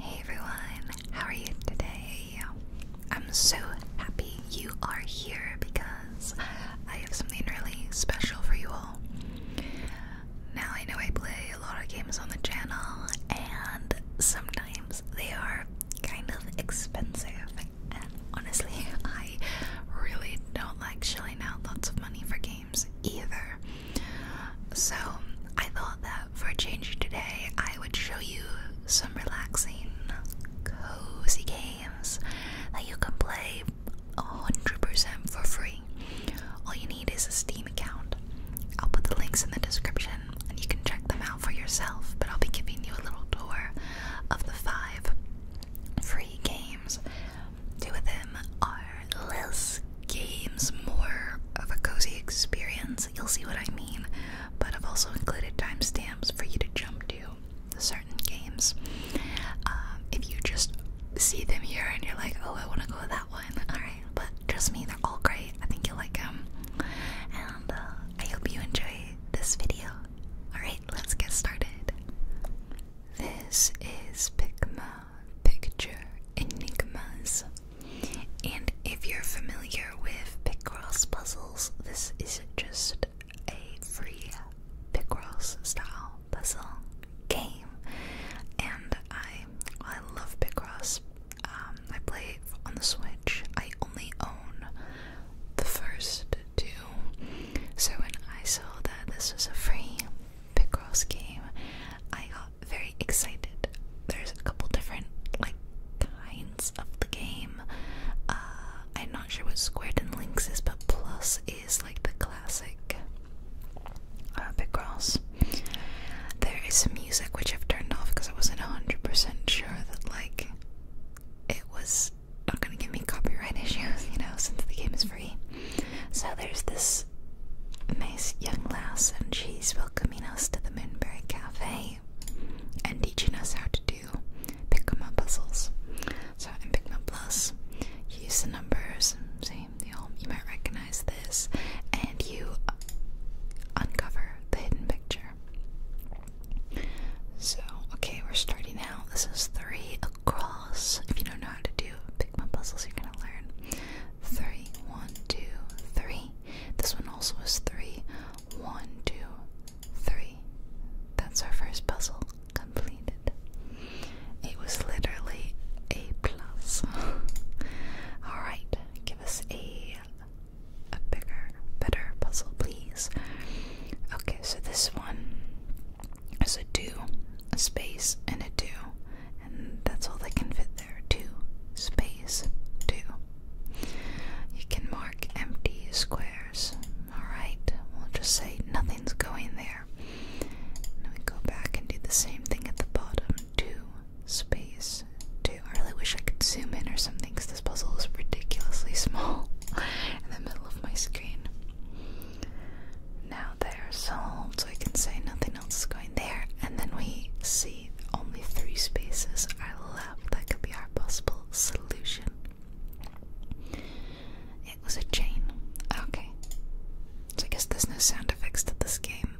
Hey everyone, how are you today? I'm so happy you are here because I have something really special for you all. Now, I know I play a lot of games on the channel, and sometimes they are kind of expensive. And honestly, I really don't like shelling out lots of money for games either. So I thought that for a change today, I would show you some relaxing, cozy games that you can play 100% for free. All you need is a Steam account. I'll put the links in the description and you can check them out for yourself, but I'll be giving you a little tour of the five free games. Two of them are less games, more of a cozy experience. You'll see what I mean. But I've also included timestamps for you to jump to certain games. Um, if you just see them here and you're like, oh, I want to go with that one, alright. But trust me, they're all great. I think you'll like them. And uh, I hope you enjoy this video. Alright, let's get started. This is Pikma picture enigmas. And if you're familiar with Picross puzzles, this is just a free Picross style puzzle game. And I, I love Picross. Um, I play on the Switch. I only own the first two. So when I saw that this was a free Picross game, I got very excited. There's a couple different like kinds of the game. Uh, I'm not sure what squared and links is, but plus is like the classic uh, big cross. There is some music which I've turned off because I wasn't hundred percent sure that like it was not gonna give me copyright issues, you know, since the game is free. So there's this Miss young lass, and she's welcoming us to the Moonbury Cafe and teaching us how to do Picma puzzles. So in Picma Plus, you use the numbers, see, you, know, you might recognize this, and you uncover the hidden picture. So, okay, we're starting out. This is three across. If you don't know how to do Picma puzzles, you're gonna learn three, one, two, three. This one also is three, one, two, three. That's our first puzzle completed. It was literally a plus. Alright, give us a a bigger, better puzzle, please. Okay, so this one is a do, a space, and a do and that's all that can fit there. Two space two. You can mark empty squares. Alright, we'll just say nothing's going there. And we go back and do the same thing at the bottom. Two space two. I really wish I could zoom in or something because this puzzle is ridiculously small in the middle of my screen. Now they're solved, so I can say nothing else is going there, and then we see only three spaces are left that could be our possible solution. It was a chain. Okay. So I guess there's no sound effects to this game,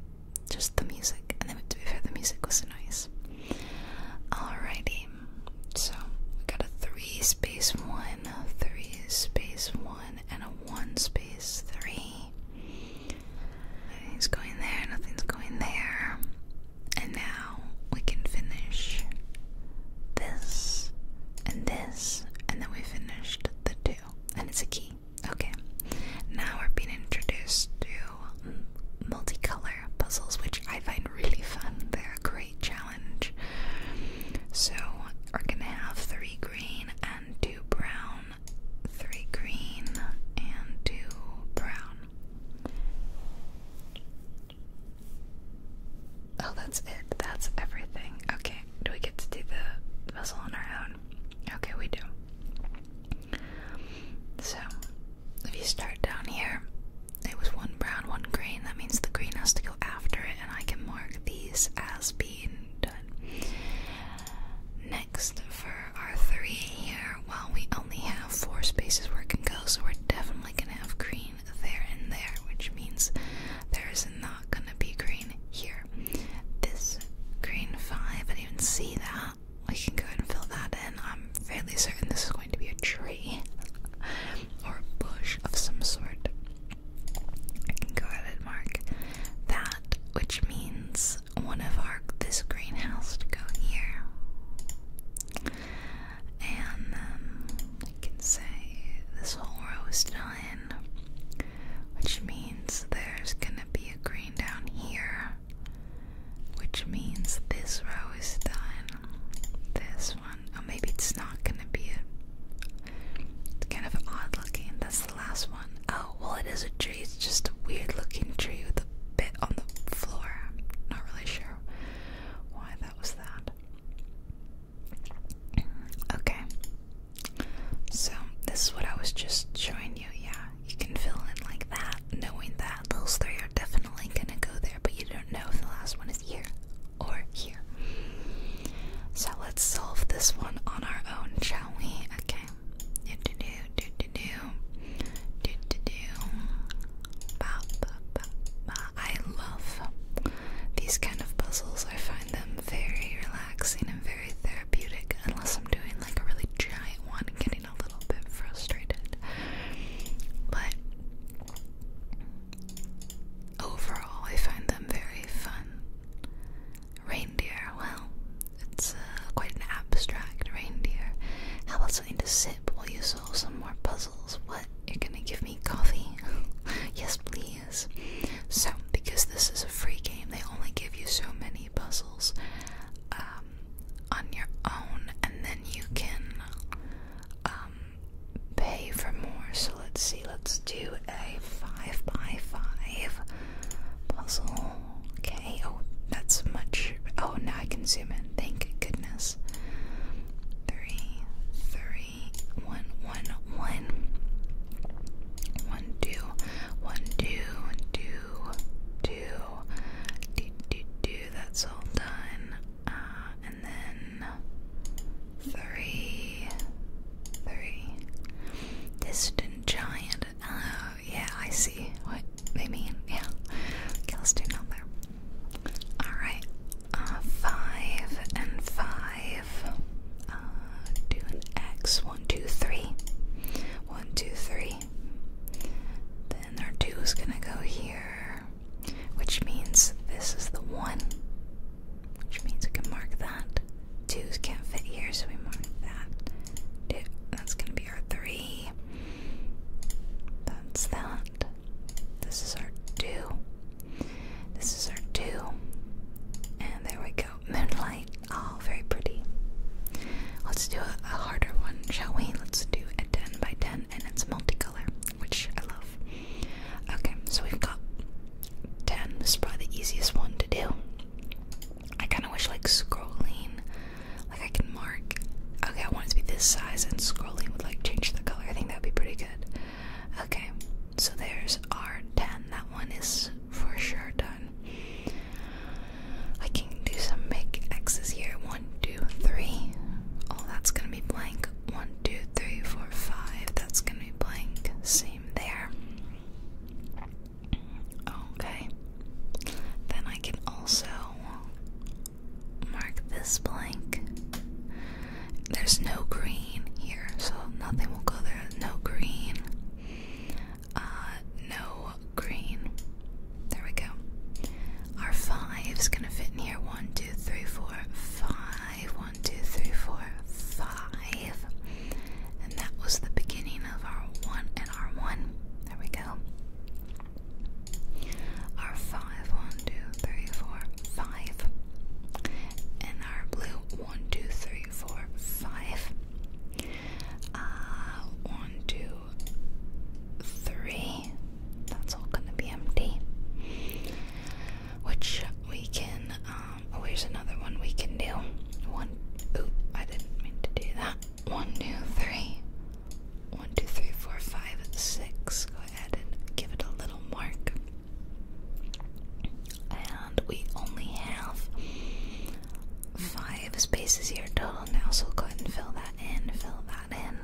just the music. And then to be fair, the music was nice. Alrighty. So we got a three space one, a three space one, and a one space three. Nothing's going there, nothing's going there. And now we can finish this and this, and then we finished the two. And it's a key. Okay. Now we're being introduced to multicolor puzzles, which I find really fun. They're a great challenge. So we're gonna have three green and two brown three green, and two brown. Oh, that's it. That's everything. Okay, do we get to do the puzzle on our own? Okay, we do. So, if you start down here, it was one brown, one green. That means the green has to go after it, and I can mark these as being Next, for our three here, while we only have four spaces where it can go, so we're definitely gonna have green there and there, which means there is not gonna be green here. This green five, I can not even see that. I can go and fill that in. I'm fairly certain this is going to be a tree or a bush of some sort. I can go ahead and mark that, which means one of our this greenhouse to go here, and um, I can say this whole row is done, which means there's gonna be a green down here, which means this row is done. This one, oh maybe it's not gonna be a. It's kind of odd looking the last one? Oh, well, it is a tree. It's just a weird looking tree with a bit on the floor. Not really sure why that was that. Okay. So, this is what I was just showing you. Yeah, you can fill in like that, knowing that those three are definitely gonna go there, but you don't know if the last one is here or here. So, let's solve this one on our own, shall we? Okay. Do do do do do do do do do. Ba, ba, ba, I love these kind of puzzles. I find them very relaxing and very therapeutic. Unless I'm doing like a really giant one, and getting a little bit frustrated. But overall, I find them very fun. Reindeer, well, it's uh, quite an abstract reindeer. How about something to sip while you solve some more puzzles? What? You're gonna give me coffee? yes, please. So, because this is a free game, they only give you so many puzzles um, on your own, and then you can um, pay for more. So, let's see, let's do a 5x5. 5 Puzzle. Okay. Oh, that's much. Oh, now I can zoom in. Thank goodness. Three, three, one, one, one. That's all done. Uh, and then three, three. Distant giant. Uh, yeah, I see what they mean. Yeah. Okay, let's do down there. Alright. Uh, five and five. Uh, X. One, two, three. Then our two is gonna go here, which means this is the one, which means we can mark that. Twos can't fit here, so we mark that. That's gonna tier 3. That's that. This is our 2. This is our 2. And there we go. Moonlight. Oh, very pretty. Let's do a, a harder one, shall we? Let's do a 10 by 10 and it's multicolor, which I love. Okay, so we've got 10. This is probably the easiest one to do. I kind of wish like scrolling, like I can mark. Okay, I want it to be this size, and scrolling would like change the color. I think that would be pretty good. Okay, so there's R ten. That one is for sure done. I can do some make X's here. One, two, three. Oh, that's gonna be blank. One, two, three, four, five. That's gonna be blank. Same there. Okay. Then I can also mark this blank. There's no green here, so nothing will go there. No green. Uh, no green. There we go. Our five's gonna fit in here. One, two, three, four, five. One, two, three, four, five. And that was the beginning of our one and our one. There we go. Our five, one, two, three, four, five. And our blue, one, two, three, four, five. Uh, one, two, three. That's all gonna be empty. Which we can, um, oh, here's another one we can do. One, oop, I didn't mean to do that. One, two, three. One, two, three, four, five, six. Go ahead and give it a little mark. And we only have five spaces here total now, so go ahead and fill that in, fill that in.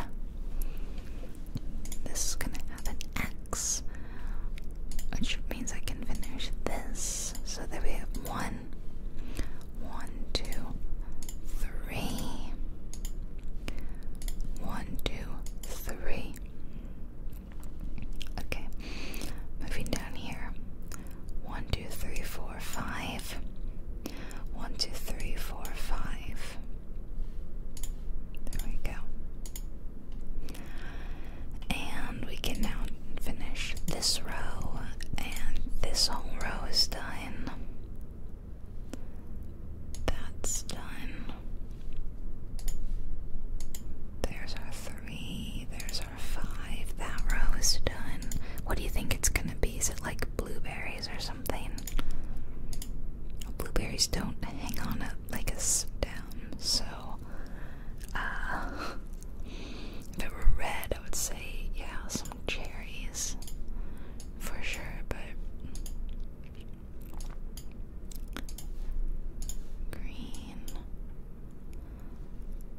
This is gonna have an X, which means I can finish this. So there we have one, one, two, three. One, two, three. Okay, moving down here. One, two, three, four, five. One, two, three, four, five. There we go. And we can now finish this row, and this whole row is done. That's done. There's our three, there's our five. That row is done. What do you think it's gonna be? Is it like blueberries or something? Blueberries don't hang on a, like a down, so uh, if it were red, I would say, yeah, some cherries for sure, but green,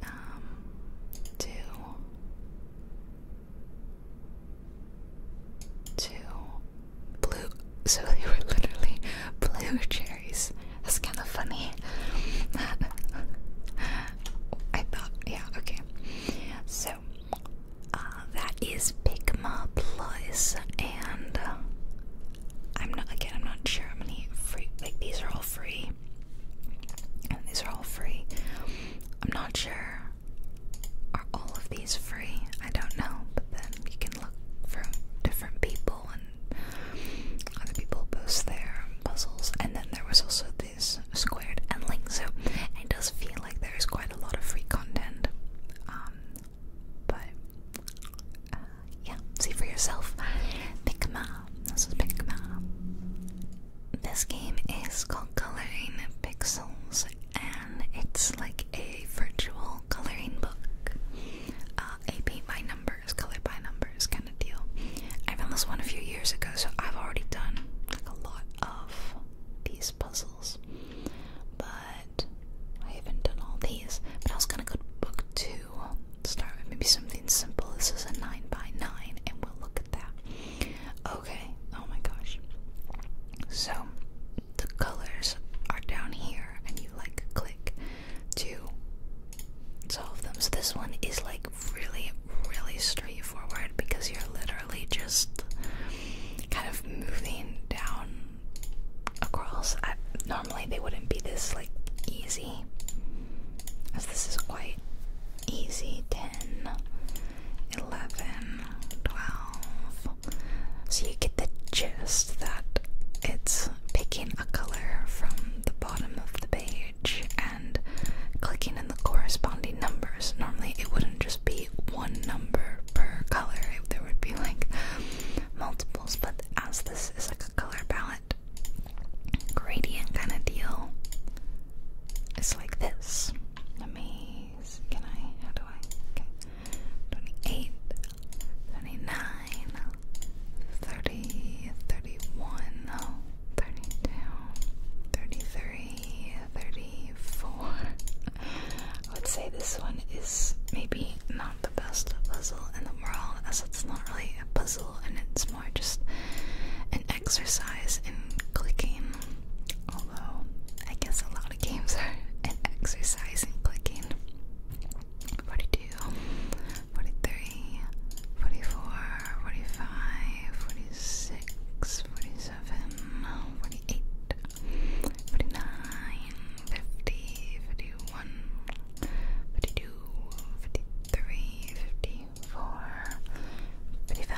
um, two, two, blue. So they were literally blue cherries. That's kind of funny. I thought, yeah, okay. So, uh, that is Pigma Plus, and uh, I'm not, again, I'm not sure how many free, like, these are all free. And these are all free. I'm not sure. Are all of these free? I don't know, but then you can look for different people and other people post their puzzles. And then there was also squared and linked, so it does feel like there is quite a lot of free content. Um, but uh, yeah, see for yourself. Pikma. This is Pikma. This game is called Coloring Pixels, and it's like a virtual coloring book. Uh, a by numbers, color by numbers kind kind of deal. I found this one a few years ago, so I've already done like a lot of these puzzles, but I haven't done all these. But I was gonna go to book two, start with maybe something simple. This is a nine by nine, and we'll look at that. Okay. Oh my gosh. So the colors are down here, and you like click to solve them. So this one is like really, really straightforward because you're literally just kind of moving down across. normally, they wouldn't be this like easy, as this is quite easy 10, 11, 12. So you get the gist that it's picking a color from the bottom of the page and clicking in the corresponding numbers. Normally, it wouldn't just be one number per color, If there would be like multiples, but as this is like a color palette gradient kind of deal, it's like this. Let can I, how do I, okay, 28, 32, 33, 34. I would say this one is maybe not the best puzzle in the world, as it's not really a puzzle and it's more just an exercise in clicking. Although, I guess a lot of games are an exercise in clicking. 42, 40, 44, 45, 46, 47, 48, 49, 50, 51, 52, 53, 54, 55,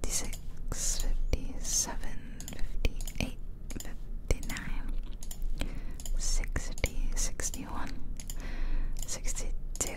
56, 57, 58, 59, 60, 61, 62,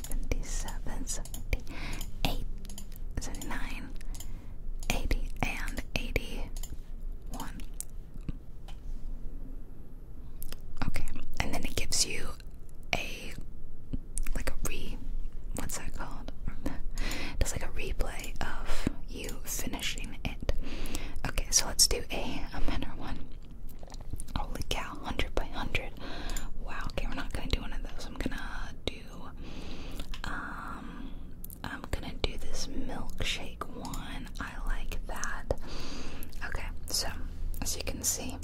77, 78, 79, 80, and 81. Okay, and then it gives you a like a re what's that called? It's like a replay of you finishing it. Okay, so let's do a, a minor one. Holy cow, 100 by 100. Wow, okay, we're not gonna do one of those. I'm gonna do um, I'm gonna do this milkshake one. I like that. Okay, so as you can see,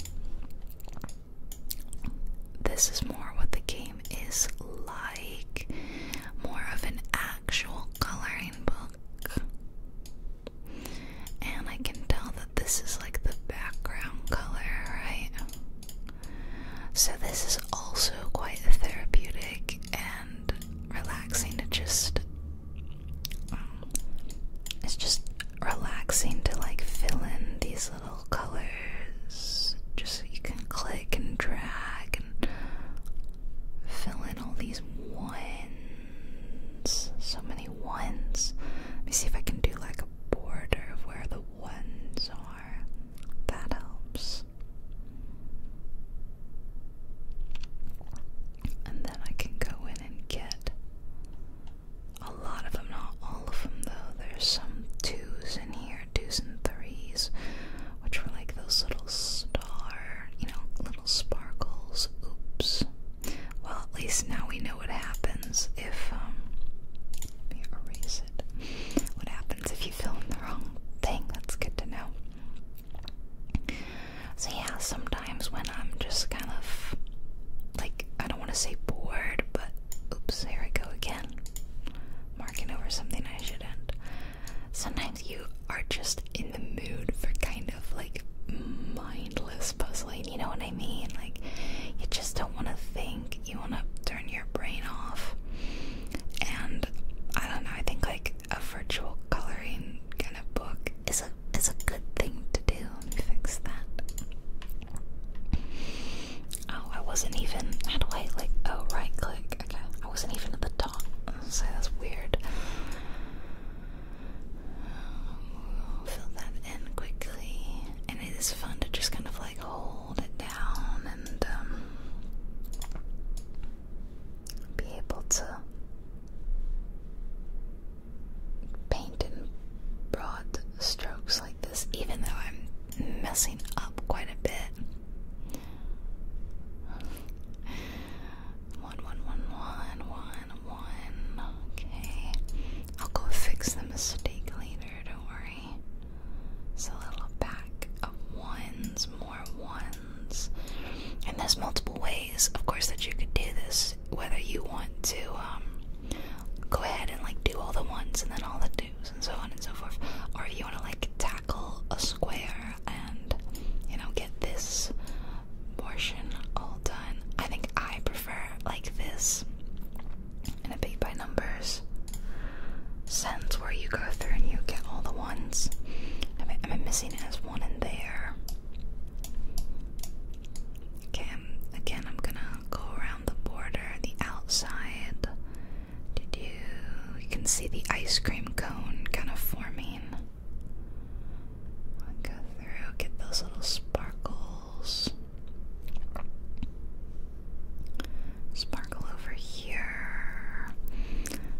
this is more what the game is like more of an actual coloring book. And I can tell that this is like the background color, right? So, this is also quite therapeutic and relaxing to just. Um, it's just relaxing to like fill in these little colors. Just so you can click and drag and fill in all these ones. So many ones. Let me see if I can do like a border of where the ones are that helps. And then I can go in and get a lot of them, not all of them though. There's some twos in here, twos and threes, which were like those little star, you know, little sparkles. Oops. Well, at least now we know what happens if, um, erase it what happens if you film the wrong thing. That's good to know. So, yeah, sometimes when I'm just kind of like, I don't want to say bored, but oops, here I go again. Marking over something I shouldn't. Sometimes you are just in the mood for kind of like mindless puzzling, you know what I mean? Like, you just don't want to think you want to turn your brain off. And I don't know, I think like a virtual coloring kind of book is a is a good thing to do. Let me fix that. Oh, I wasn't even how do I like oh right click. Okay. I wasn't even at the top. So that's weird. fill that in quickly. And it is fun to just kind of like hold hold it down and um, be able to paint in broad strokes like this, even though I'm messing up quite a bit. One, one, one, one, one, one. Okay. I'll go fix the mistake later better, don't worry. It's a little pack of ones, more ones. And there's multiple ways, of course, that you could do this. Whether you want to um, go ahead and like do all the ones and then all the twos and so on and so forth, or you want to like tackle a square and you know get this portion all done. I think I prefer like this and a paint by numbers sense where you go through and you get all the ones. Am I, missing as one in there? Okay, I'm, um, again, I'm gonna go around the border, the outside. Did you? can see the ice cream cone kind of forming. go through, get those little sparkles. Sparkle over here.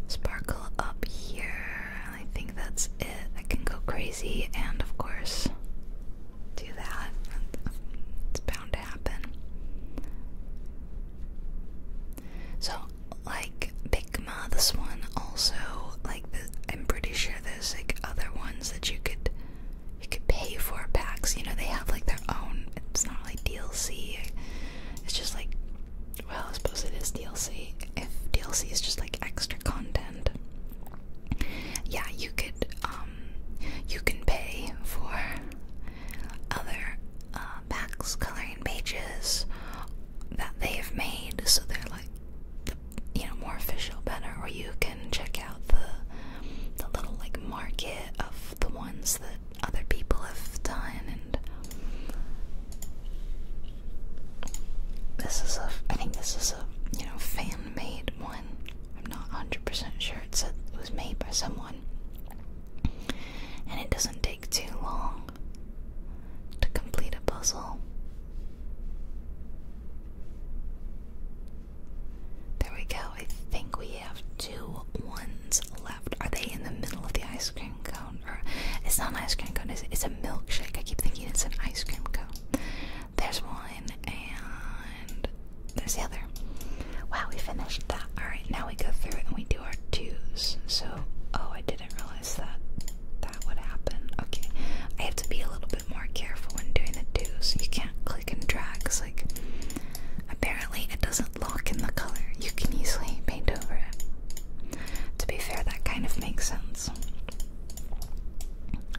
Sparkle up here. I think that's it. I can go crazy and, of course, do that. It's bound to happen. So, like Pikma, this one also, like, I'm pretty sure there's like other ones that you could you could pay for packs. You know, they have like their own. It's not like DLC. It's just like, well, I suppose it is DLC. If DLC is just like extra content, yeah, you could. Um, you can pay for other uh, packs, coloring pages that they have made, so they're like, the, you know, more official, better. Or you can check out the the little like market of the ones that other people have done and this is a I think this is a you know fan made one. I'm not 100% sure it said it was made by someone. And it doesn't take too long to complete a puzzle. There we go. I think we have two ones left. Are they in the middle of the ice cream cone? it's not an ice cream cone, It's a milkshake. I keep thinking it's an ice cream cone. There's one and there's the other. Wow, we finished that. Alright, now we go through and we do our twos. So oh I didn't realize that that would happen. Okay. I have to be a little bit more careful when doing the twos. You can't click and drag because like Apparently, it doesn't lock in the color, you can easily paint over it. To be fair, that kind of makes sense.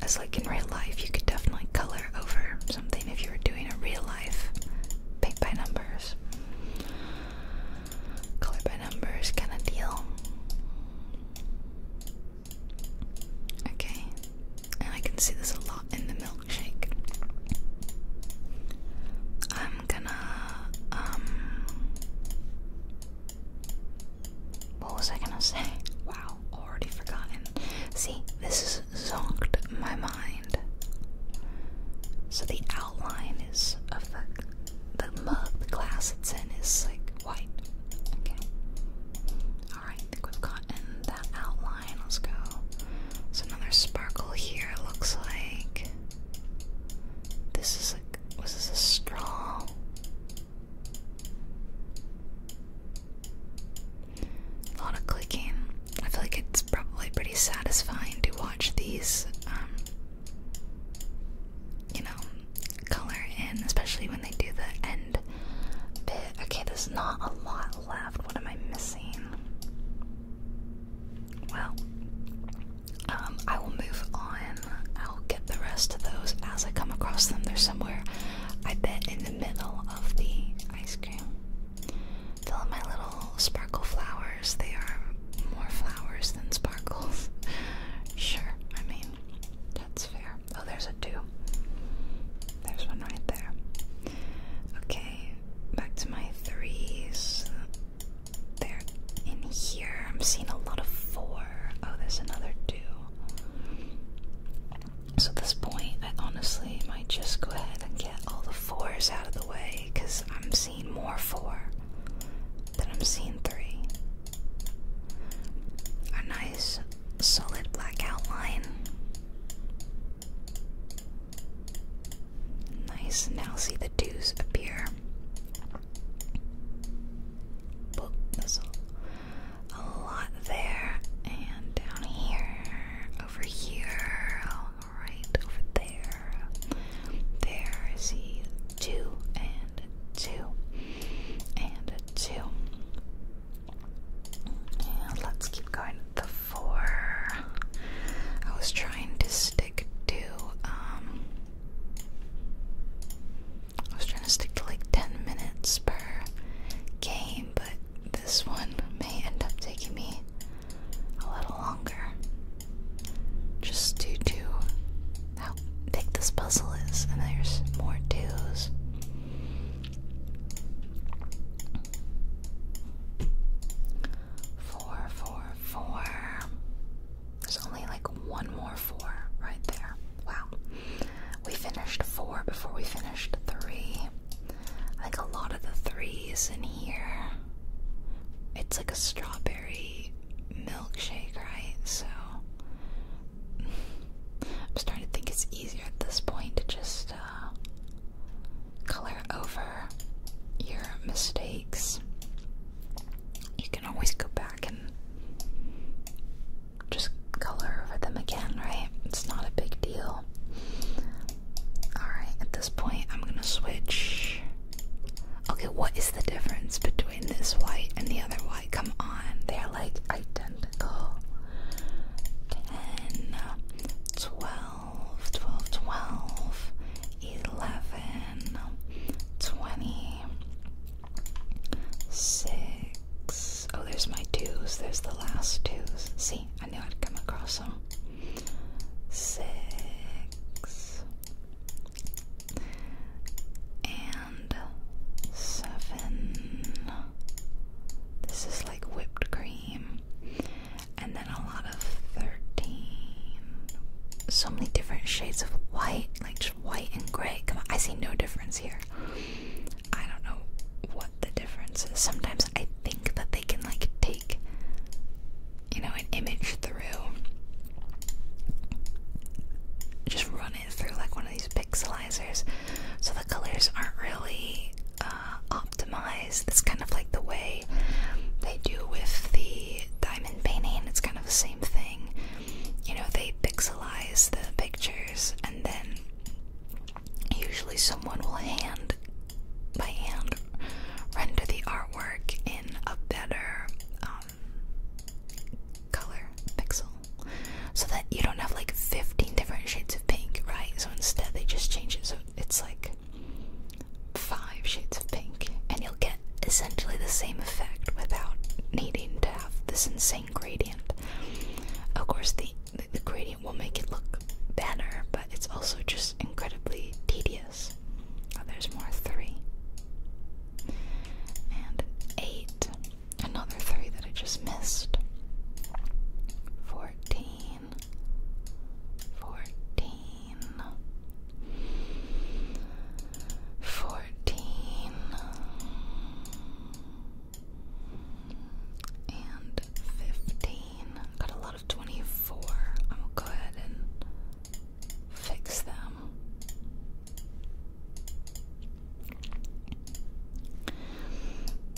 As, like, in real life, you could definitely color over something if you were doing a real life paint by numbers, color by numbers kind of deal. Okay, and I can see this a lot in the milkshake. I'm gonna, um, what was I gonna say? Wow, already forgotten. See, this is zonked my mind. So the outline is of the the mug, the glass it's in is like white. Okay. Alright, I think we've gotten that outline. Let's go. So another sparkle here looks like this is a was a straw? A lot of clicking. I feel like it's probably pretty satisfying to watch these um, you know, color in, especially when they do the end bit. Okay, there's not a lot left. What am I missing? Well, um, I will move on. I'll get the rest of those as I come across them. They're somewhere, I bet, in the middle of the ice cream. Fill in my little sparkle flowers. They are more flowers than sparkles. sure, I mean, that's fair. Oh, there's a two. There's one right there. Okay, back to my threes. They're in here. I'm seeing a lot of four. Oh, there's another two. So at this point, I honestly might just go ahead and get all the fours out of the way because I'm seeing more four than I'm seeing three. A nice solid black outline. Nice, now see the dews appear. a, lot there, and down here, over here, right over there. There, I see two and two and two let's keep going. The four. I was trying to stick to um, I was trying to stick to like 10 minutes per game, but this one may end up taking me a little longer. Just due to how big this puzzle is, and there's more twos. Four, four, four. There's only like one more four right there. Wow. We finished four before we finished three. I think a lot of the threes in here. It's like a strawberry milkshake, right? So I'm starting to think it's easier at this point to just uh, color over your mistakes. You can always go back and just color over them again, right? It's not a big deal. Alright, at this point, I'm gonna switch. Okay, what is the difference between this white and the other white? Come on, they are like identical. 10, 12, 11, 6. Oh, there's my twos. There's the last twos. See, I knew I'd come across them. 6. And seven. This is like whipped cream and then a lot of 13. So many different shades of white, like just white and gray. I see no difference here. I don't know what the difference is. Sometimes I think that they can like take, you know, an image through, just run it through like one of these pixelizers, so the colors aren't really uh, optimize. That's kind of like the way they do with the diamond painting. It's kind of the same thing. You know, they pixelize the pictures, and then usually someone will hand by hand render the artwork in a better um, color pixel so that you don't have like 15 different shades of pink, right? So instead, they just change it so it's like five shades of pink, and you'll get essentially the same effect without needing to have this insane gradient. Of course, the the gradient will make it look better, but it's also just incredibly tedious. Oh, there's more three and eight, another three that I just missed. Fourteen fourteen, fourteen, and fifteen. Got a lot of twenty-four. I'm gonna go ahead and fix them.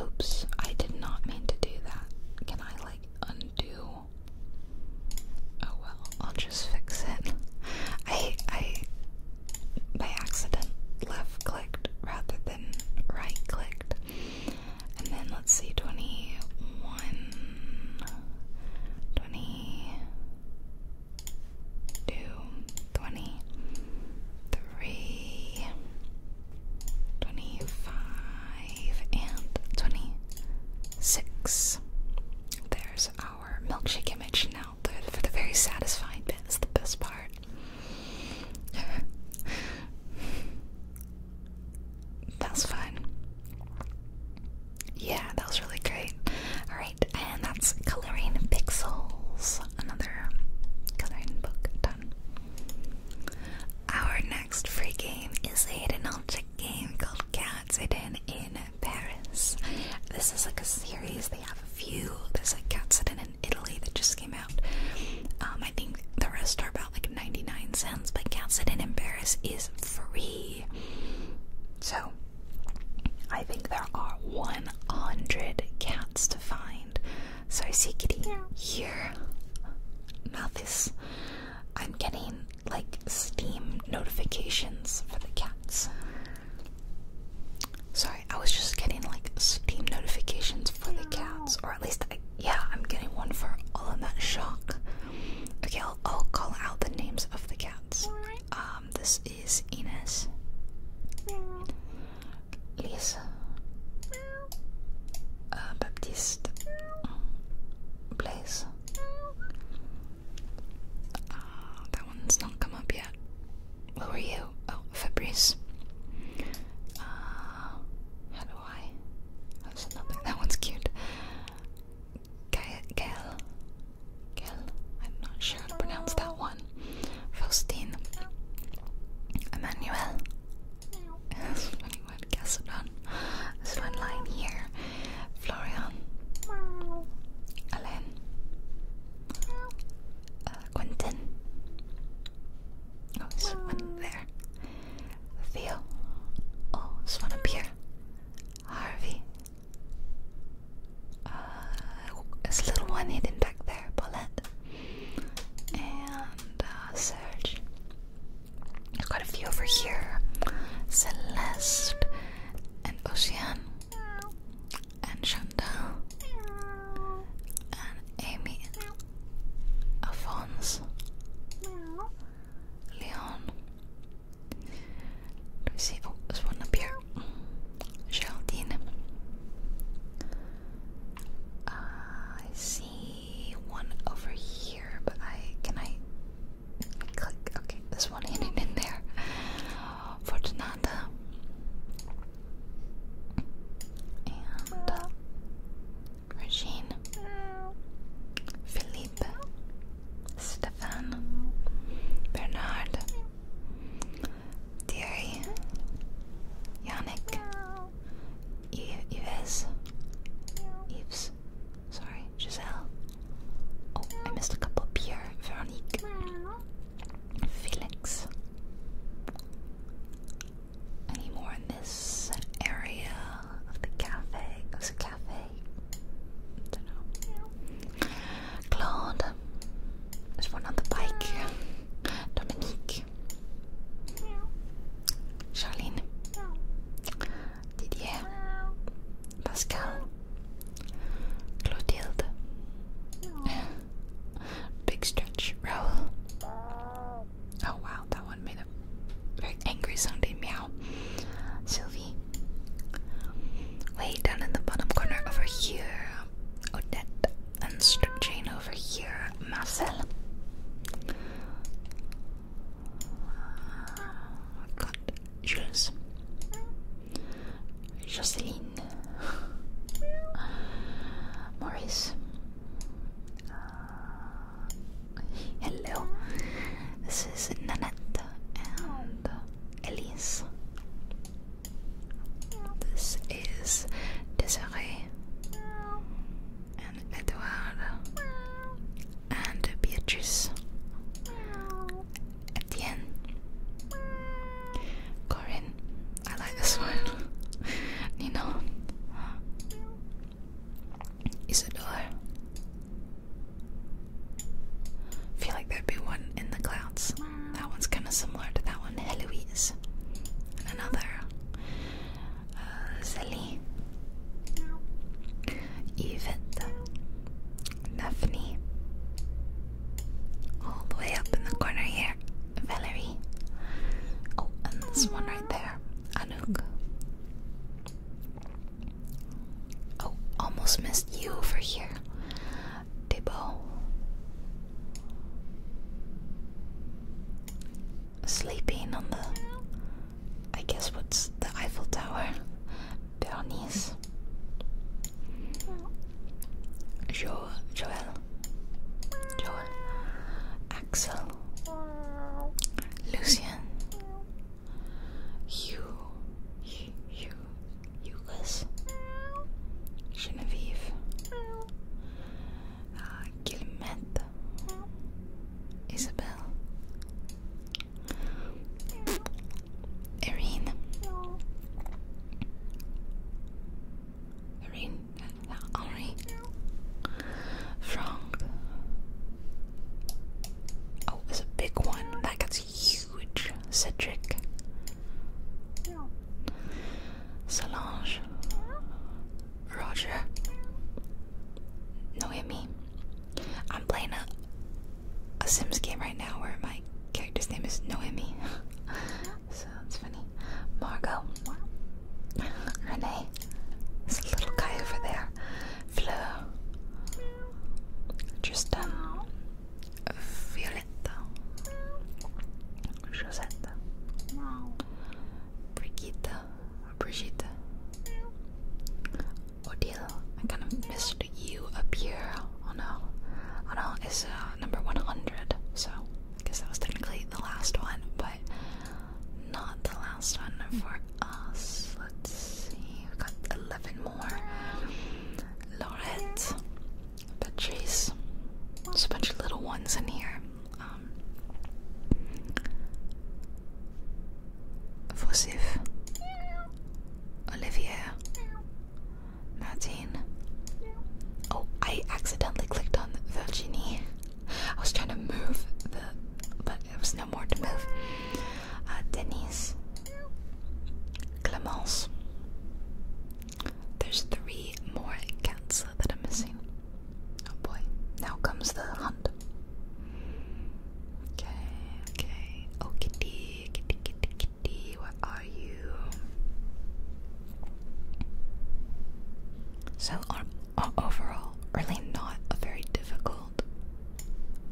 Oops, I did not mean to do that. Can I, like, undo? Oh well, I'll just fix it. I, I, by accident, left clicked rather than right clicked. And then let's see, 21, two, twenty, three, twenty-five, and twenty-six. There's our milkshake image now. for the very satisfying bit is the best part. That's fun yeah, that was really great. Alright, and that's Coloring Pixels, another coloring book done. Our next free game is a hidden object game called Cats Hidden in Paris. This is like a series, they have a few. There's a Cats Hidden in Italy that just came out. Um, I think the rest are about like 99 cents, but Cats Hidden in Paris is free. So, I think there are 100 cats to find. So, I see, kitty, here. Now, this. I'm getting like Steam notifications for the cats. Sorry, I was just getting like Steam notifications for the cats, or at least, yeah, I'm getting one for all of that shock. Okay, I'll call out the names of the cats. Um, this is Ines. Lisa. Uh, Baptiste. Mm, Blaze. Uh, that one's not come up yet. Where were you? Oh, Fabrice. Uh, how do I? That's nothing. That one's cute. Gael, Gael, I'm not sure how to pronounce that one. Faustine, Emmanuel. That's one. Casadon. This one here. Florian, Alain, uh, Quentin. Oh, this one there. Theo. Oh, this one up here. Harvey. Uh, there's a little one hidden back there, Paulette. And uh, Serge. i a few over here. Celeste and Ocean and Chantal and Amy Alphonse Leon let me see. Oh, there's one up here. Geraldine. I see one over here, but I can I click? Okay, there's one hidden in there. Fortunata. And uh, Regine. Philippe. Stefan, Bernard, Thierry, Yannick, Yves, Yves, sorry, Giselle. Oh, I missed a couple. Pierre, Veronique, Felix. Any more in this area of the cafe? It was a cafe. I there's one on the bike. Dominique. Charlene. Didier. Pascal. Clotilde. Big stretch. Raoul. Oh wow, that one made a very angry sounding meow. Sylvie. Way down in the bottom corner over here. Odette and Strip Chain over here. Marcel. I've oh got Maurice. Uh, hello. This is Nanette and Elise. This is Desiree and Edward and Beatrice. Etienne. Corinne. I like this one. Nino. Isadora. I feel like there'd be one in the clouds. That one's kind of similar to that one, Heloise. And another, uh, Celine, Yvette, Daphne. All the way up in the corner here, Valerie. Oh, and this one right there, Anouk. Oh, almost missed you over here. Bibbo. Sleeping on the. I guess what's the Eiffel Tower? Bernice. Jo Joel. Joel. Axel. Lucian you, you, you, Yugas, Genevieve, uh, Isabel, Irene, Irene, uh, Henri, Frank. Oh, it's a big one that gets huge. Cedric. Solange. Roger. Noemi. I'm playing a, a Sims game right now where my character's name is Noemi. so it's funny. Margot. Renee. There's a little guy over there. Fleur. Tristan. Violetta, Josetta, Brigitta, Brigitta, Odile. I kind of missed you up here. Oh no, oh no, it's uh, number 100, so I guess that was technically the last one, but not the last one for us. Let's see, we have got 11 more. Lorette. But there's a bunch of little ones in here. Um, Olivier, Martin. Oh, I accidentally clicked on Virginie. I was trying to move but there was no more to move. Uh, Denise, Clemence. There's three more cats that I'm missing. Oh boy, now comes the hunt. Okay, okay. Oh, kitty, kitty, kitty, kitty, where are you? So, overall, really not a very difficult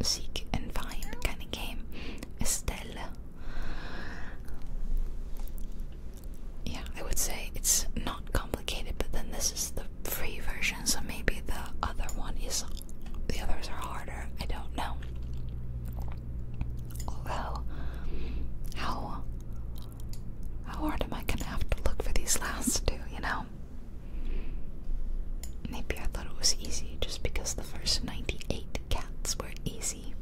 seek and find kind of game. Estelle yeah, I would say it's not complicated, but then this is the free version, so maybe the other one is the others are harder. I don't know. Although, how how hard am I gonna have to look for these last two? You know. Maybe I thought it was easy just because the first 98 cats were easy.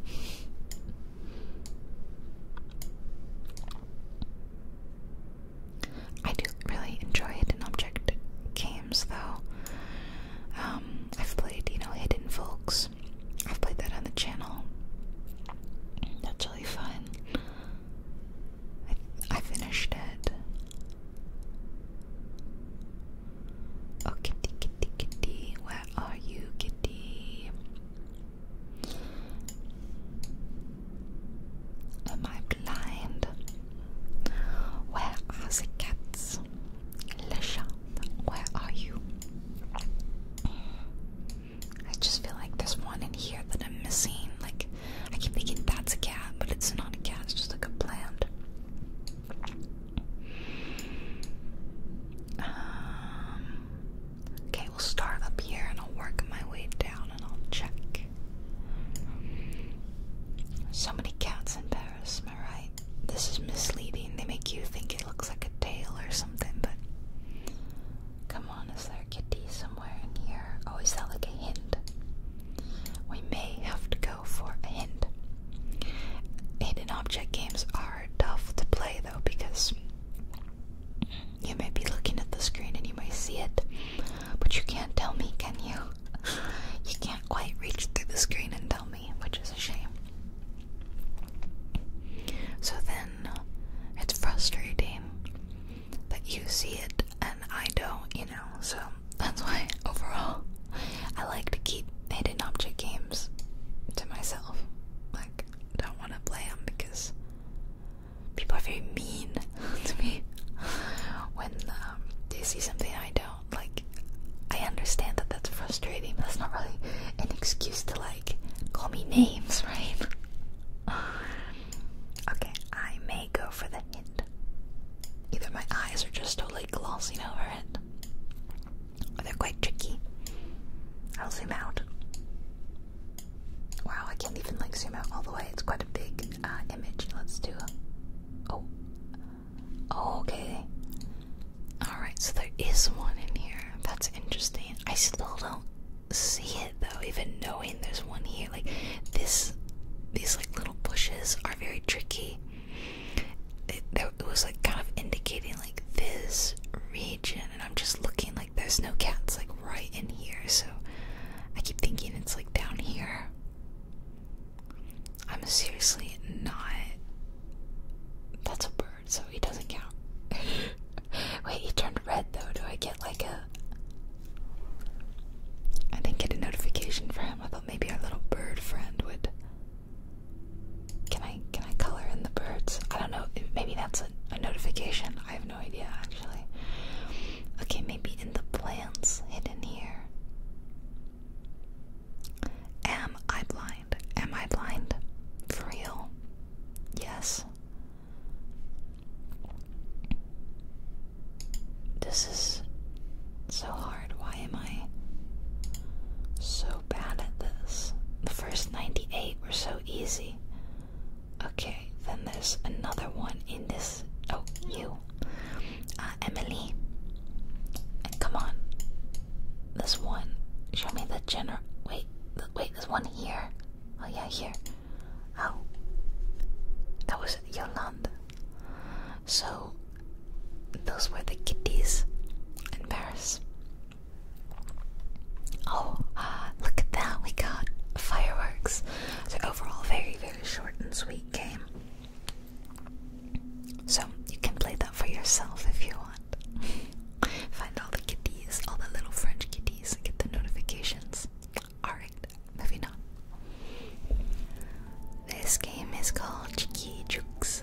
I do really enjoy hidden object games though. Um, I've played, you know, Hidden Folks. I've played that on the channel. That's really fun. I, I finished it. Oh, kitty, kitty, kitty, where are you, kitty? Am I blind? Where are the cats? Lisha, where are you? I just feel like there's one in here that I'm missing. Like, I keep thinking that's a cat, but it's not a cat, it's just like a plant. Um, okay, we'll start up here and I'll work my way down and I'll check. So many cats in Paris, am right? This is misleading. They make you think it looks like a tail or something, but come on, is there a kitty somewhere in here? Oh, is that like a hint? We may have to go for a hint. Hidden object games are tough to play though because you may be looking at the screen and you may see it, but you can't tell me, can you? You can't quite reach through the screen and tell me, which is a shame. So then it's frustrating that you see it and I don't, you know, so that's why overall I like to keep hidden object games to myself. Like, don't want to play them because people are very mean to me when um, they see something I don't. Like, I understand that that's frustrating, but that's not really an excuse to, like, call me names, right? okay, I may go for the hint. Either my eyes are just totally glossing over it, they're quite tricky. I'll zoom out. Wow, I can't even like zoom out all the way. It's quite a big uh, image. Let's do. Oh. oh. Okay. All right. So there is one in here. That's interesting. I still don't see it though. Even knowing there's one here, like this, these like little bushes are very tricky it, was like kind of indicating like this region, and I'm just looking like there's no cats like right in here, so I keep thinking it's like down here. I'm seriously not. That's a bird, so he doesn't count. Wait, he turned red though. Do I get like a. I didn't get a notification for him. I thought maybe our little bird friend would can I can I color in the birds? I don't know. Maybe that's a, notification. I have no idea actually. Okay, maybe in the plants hidden here. Am I blind? Am I blind? For real? Yes. This is so hard. Why am I so bad at this? The first 98 were so easy. Okay, then there's another one in this. Oh, you. Uh, Emily. come on. This one. Show me the general. Wait, th wait, there's one here. Oh, yeah, here. Oh. That was Yolanda. So, those were the kitties in Paris. Oh, uh, look at that! We got fireworks. So overall, very very short and sweet game. So you can play that for yourself if you want. Find all the kitties, all the little French kitties, and get the notifications. Alright, moving on. This game is called Cheeky Jukes,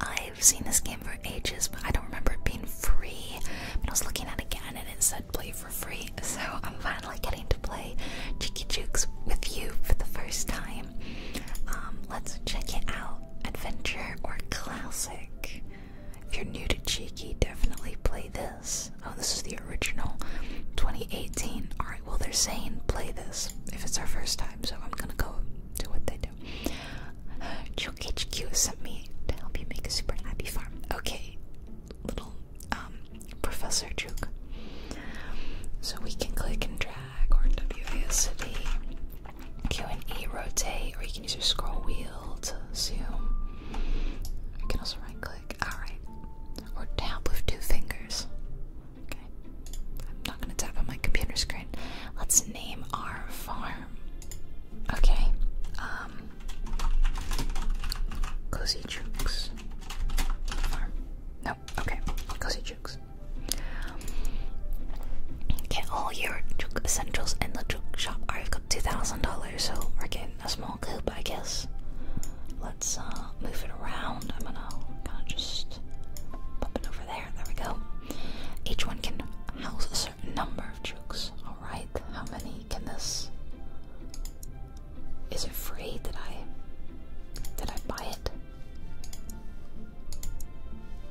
I've seen this game for ages, but I don't remember it being free. I was looking at it again and it said play for free, so I'm finally getting to play Cheeky Jukes with you for the first time. Um, let's check it out. Adventure or classic. If you're new to Cheeky, definitely play this. Oh, this is the original 2018. Alright, well, they're saying play this if it's our first time, so I'm gonna go do what they do. Joke HQ sent me to help you make a super happy farm. Okay, little um, Professor Juke. So we can click and drag or WASD, Q and E rotate, or you can use your scroll wheel to zoom. You can also right click, alright. Or tap with two fingers. Okay. I'm not gonna tap on my computer screen. Let's name our farm. Okay. Um Cozy Jukes. Farm. No, okay. Cozy Jukes. Get all your juke essentials in the juke shop. I've got two thousand dollars, so we're getting a small coop, I guess. Let's uh, move it around. I'm gonna kinda just bump it over there, we go. Each one can house a certain number of jukes. Alright, how many can this is it free? that I did I buy it?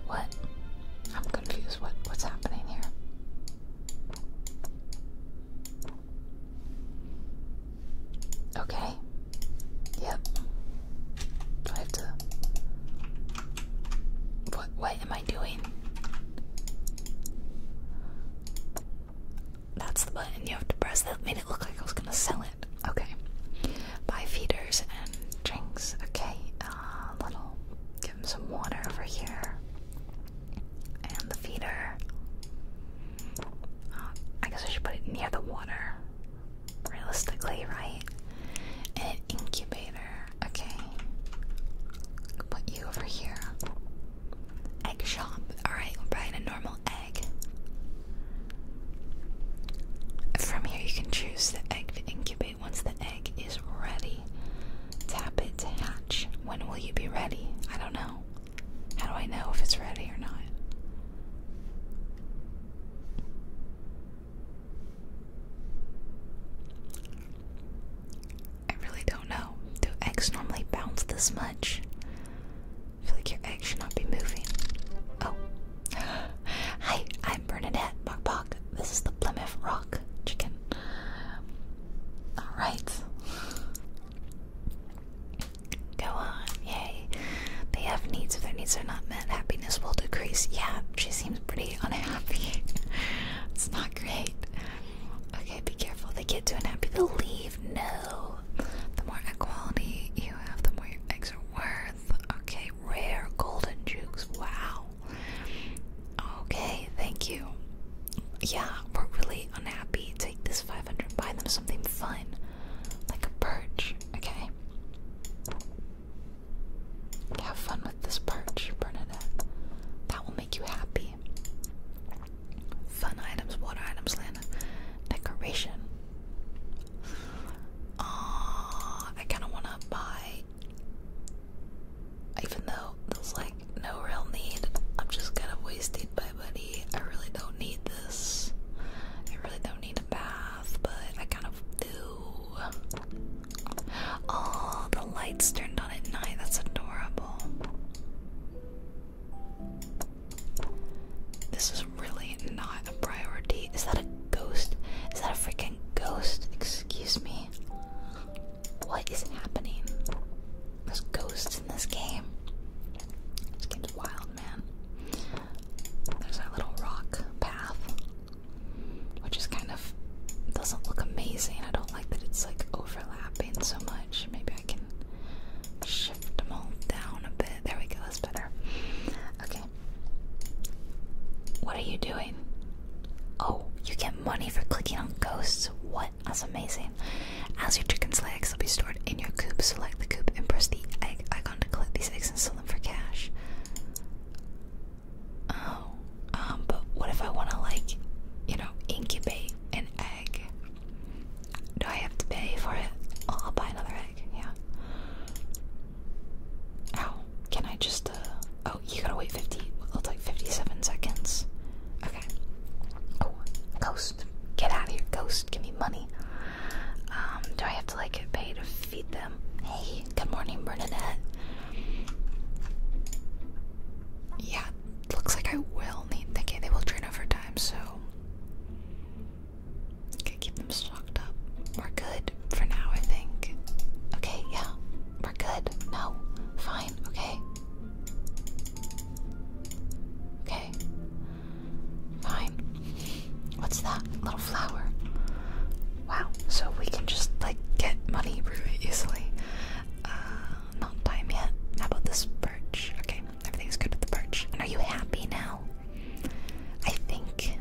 What? I'm confused. What what's happening here? Okay, Yep. I have to... What, what am I doing? That's the button you have to press. That made it look like I was gonna sell it. Okay. Buy feeders and drinks. Okay. Uh, little... Give him some water over here. And the feeder. Uh, I guess I should put it near the water realistically, right? an incubator. Okay. Put you over here. Egg shop. Alright, we're buying a normal egg. From here, you can choose the egg to incubate once the egg is ready. Tap it to hatch. When will you be ready? I don't know. How do I know if it's ready or not? I really don't know. Do eggs normally bounce this much? I feel like your egg should not be moving. Oh. Hi, I'm Bernadette Bok Bok. This is the Plymouth Rock chicken. Alright. Go on, yay they have needs. If their needs are not met, happiness will decrease. Yeah, she seems pretty unhappy. it's not great. Okay, be careful. They get too unhappy. to leave. No. The more equality you have, the more your eggs are worth. Okay, rare golden jukes. Wow. Okay, thank you. Yeah, we're really unhappy. Take this 500, buy them something fun, like a perch, okay? Have fun with this perch, Bernadette. That will make you happy. Fun items, water items, land decoration. Ah, I kind of want to buy. Even though there's like no real need, I'm just kind of wasted my buddy. I really don't need this. I really don't need a bath, but I kind of do. Oh, the lights turned on at night. That's adorable. This is really not a priority. Is that a ghost? Is that a freaking ghost? Excuse me. What is happening? There's ghosts in this game. It's getting wild man. There's our little rock path, which is kind of doesn't look amazing. I don't like that it's like overlapping so much. Maybe I can shift them all down a bit. There we go, that's better. Okay. What are you doing? Oh, you get money for clicking on ghosts. What? That's amazing. As your chicken's eggs, they will be stored in your coop, select the coop and press the egg icon to collect these eggs and for cash. Oh, um, but what if I want to, like, you know, incubate an egg? Do I have to pay for it? Oh, I'll buy another egg, yeah. Ow, oh, can I just, uh, oh, you gotta wait 50, it's like 57 seconds. Okay. Oh, ghost, get out of here, ghost, give me money. Um, do I have to like get paid to feed them? Hey, good morning, Bernadette. Yeah, looks like I will need. Okay, they will train overtime, so okay, keep them stocked up. We're good for now, I think. Okay, yeah, we're good. No, fine. Okay. Okay. Fine. What's that? Little flower. Wow. So we can just like get money really easily. Uh, not time yet. How about this birch? Okay, everything's good with the birch. And are you happy now? I think.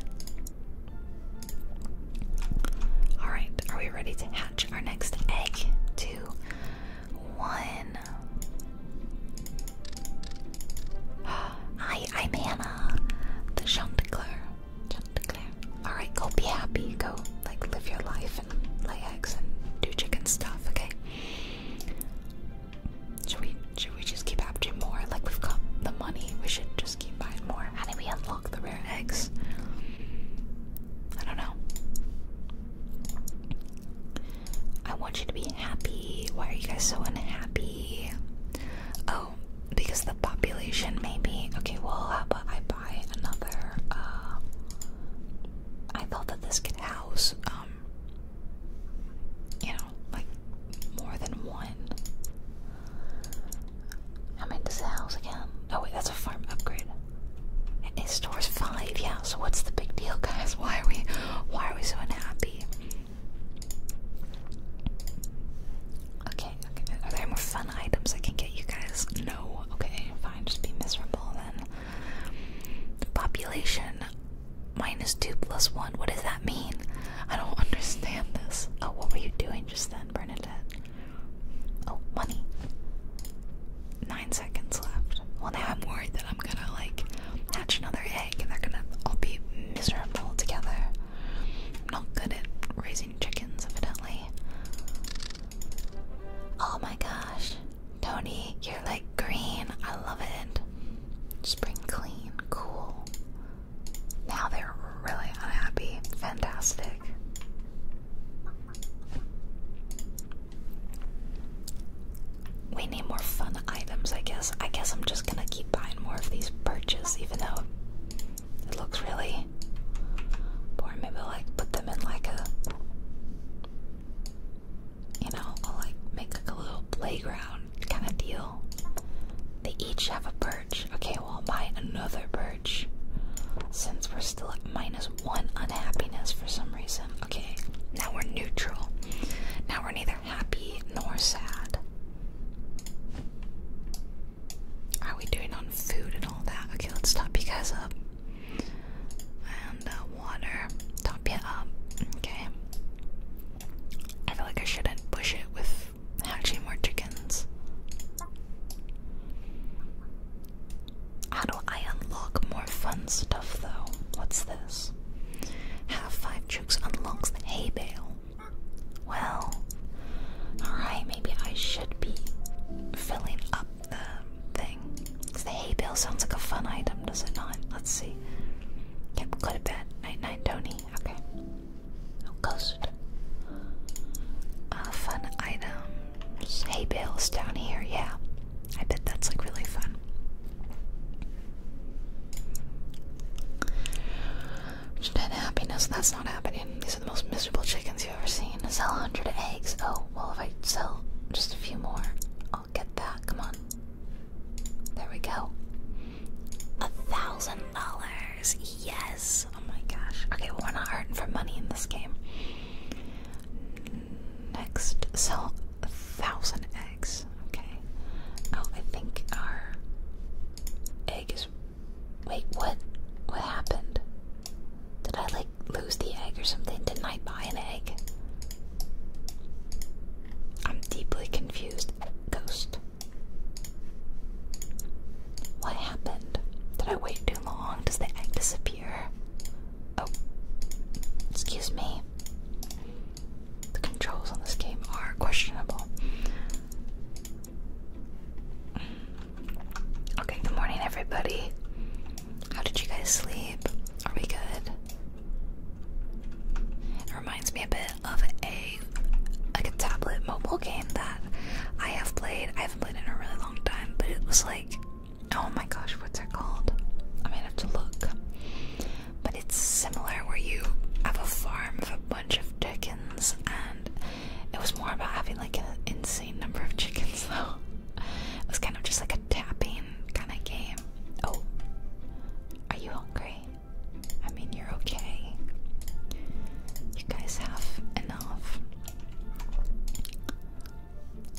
Alright, are we ready to hatch our next egg? Two, one. I I'm Hannah, the Chanticleer. Chanticleer. Alright, go be happy. Go, like, live your life and lay eggs and do chicken stuff, okay? Should we, should we just keep after more? Like, we've got the money. We should just keep buying more. How do we unlock the rare eggs? I don't know. I want you to be happy. Why are you guys so unhappy? Oh, because the population may be okay, well, how about I buy another? Uh, I thought that this could house, um, you know, like more than one. How many does it house again? Oh wait, that's a farm upgrade. It stores five, yeah. So what's the big deal, guys? Why are we, why are we so unhappy? Okay, okay. Are there more fun items I can get you guys? No. Okay, fine. Just be miserable then. Population minus two plus one. What does that mean? I don't understand this. Oh, what were you doing just then, Bernadette? Oh, money. Nine seconds left. Well, now I'm worried that I'm gonna like hatch another egg and they're gonna all be miserable together. I'm not good at raising chickens, evidently. Oh my gosh. Tony, you're like green. I love it. Spring clean. Cool. Now they're really unhappy. Fantastic. We need more fun items, I guess. I guess I'm just gonna keep buying more of these perches, even though it looks really boring. Maybe I'll like put them in like a you know, like make like a little playground kind of deal. They each have a perch. Okay, well I'll buy another perch. Since we're still at minus one unhappiness for some reason. Okay, now we're neutral. Now we're neither happy nor sad. are we doing on food and all that? Okay, let's stop because of up. And uh, water. Top you up. Okay. I feel like I shouldn't push it with hatching more chickens. How do I unlock more fun stuff though? What's this? Have five chooks unlocks the hay bale. Well, alright, maybe I should be filling up the thing. Because the hay bale sounds like a fun item, does it not? Let's see. Yep, go to bed. Night night, Tony. Okay. Oh, ghost. Uh, fun item. Hay bales down here, yeah. I bet that's like really fun. Which dead happiness, that's not happening. These are the most miserable chickens you've ever seen. Sell a 100 eggs. Oh, well, if I sell just a few more, I'll get that. Come on. There we go. A thousand dollars. Yes. Oh my gosh. Okay, we're not hurting for money in this game. Next, sell a thousand eggs. Okay. Oh, I think our Wait, what? What happened? Did I like lose the egg or something? Didn't I buy an egg? I'm deeply confused. Ghost. What happened? Did I wait too long? Does the egg disappear? Oh. Excuse me. The controls on this game are questionable. Okay, good morning, everybody. How did you guys sleep? Are we good? It reminds me a bit of a like a tablet mobile game that I have played. I haven't played in a really long time, but it was like, oh my gosh, what's it called? I am gonna have to look. But it's similar where you have a farm of a bunch of chickens, and it was more about having like an insane number of chickens, though. It was kind of just like a tapping kind of game. Oh, are you hungry? I mean, you're okay. You guys have enough.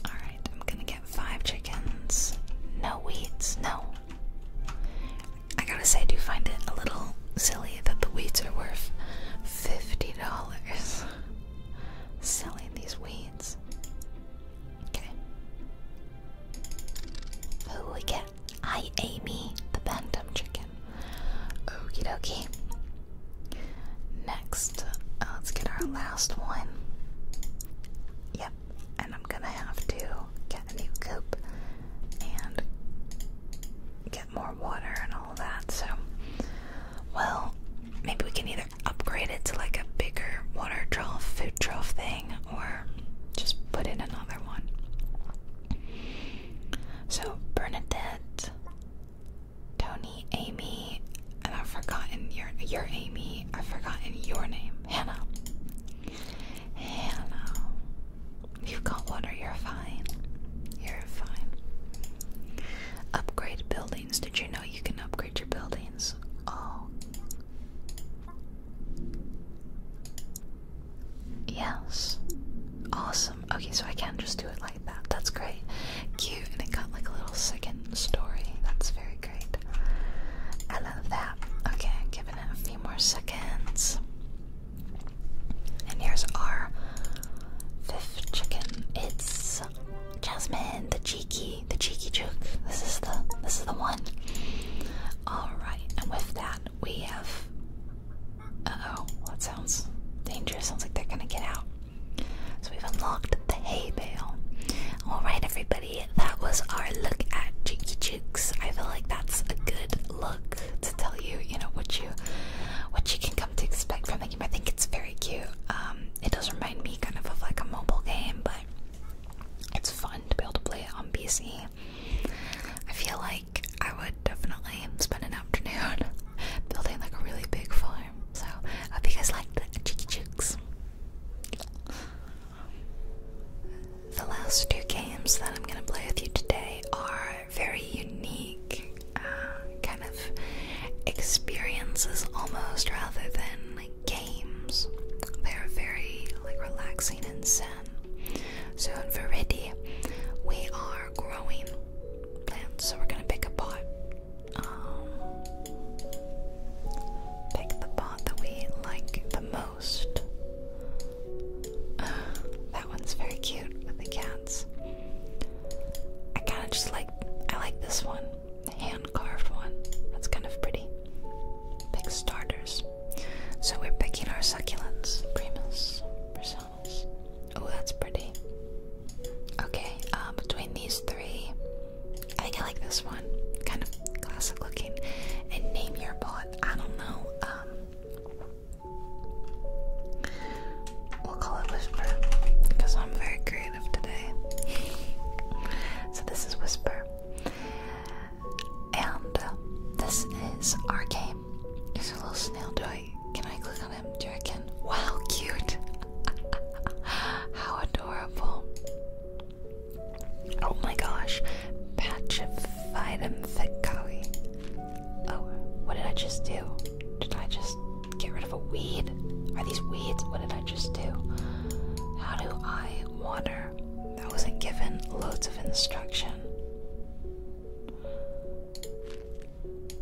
Alright, I'm gonna get five chickens. No weeds, no. I gotta say, I do find it a little silly that the weeds are worth fifty dollars. Selling these weeds. Okay. Who we I Amy, the bantam chicken. Okie dokie. Next, uh, let's get our last one. Yep, and I'm gonna have to a new coop and get more water and all that. So, well, maybe we can either upgrade it to like a bigger water trough, food trough thing, or just put in another one. So, Bernadette, Tony, Amy, and I've forgotten your your Amy. I've forgotten your name, Hannah. Hannah, you got water, you're fine. You're fine. Upgrade buildings. Did you know you can upgrade your buildings? Oh. Yes. Awesome. Okay, so I can just do it like that. That's great. Cute. And it got like a little second story. That's very great. I love that. Okay, I'm giving it a few more seconds. And here's our fifth chicken. It's Jasmine, the cheeky, the cheeky juke. This is the this is the one. Alright, and with that we have oh that sounds dangerous. Sounds like they're gonna get out. So we've unlocked the hay bale. Alright everybody, that was our look at Cheeky cheeks. I feel like that's a good look to tell you, you know, what you what you can come to expect from the game. I think it's very cute. Um, it does remind me kind of of like a mobile game, but it's fun to be able to play it on PC. I feel like I would definitely spend an afternoon building like a really big farm. So hope you guys liked the cheeky The last two games that I'm gonna play with you today are very unique uh, kind of experiences almost rather than games. They're very like relaxing and zen. So in Veridi, we are growing plants. So we're gonna pick a pot. Um, pick the pot that we like the most. that one's very cute with the cats. I kind of just like I like this one, hand carved one. That's kind of pretty. Big starters. So we're picking our succulents, primus, personas. Oh, that's pretty. Okay, uh, between these three, I think I like this one. Kind of classic looking. And name your pot. I don't know. Um, We'll call it Whisper because I'm very creative today. so, this is Whisper. And uh, this is our game. Here's a little snail. Do I? Can I click on him? Do I can? Wow, cute! How adorable! Oh my gosh, Patchified and Fit Cowie. Oh, what did I just do? Did I just get rid of a weed? Are these weeds? What did I just do? How do I water? I wasn't given loads of instruction.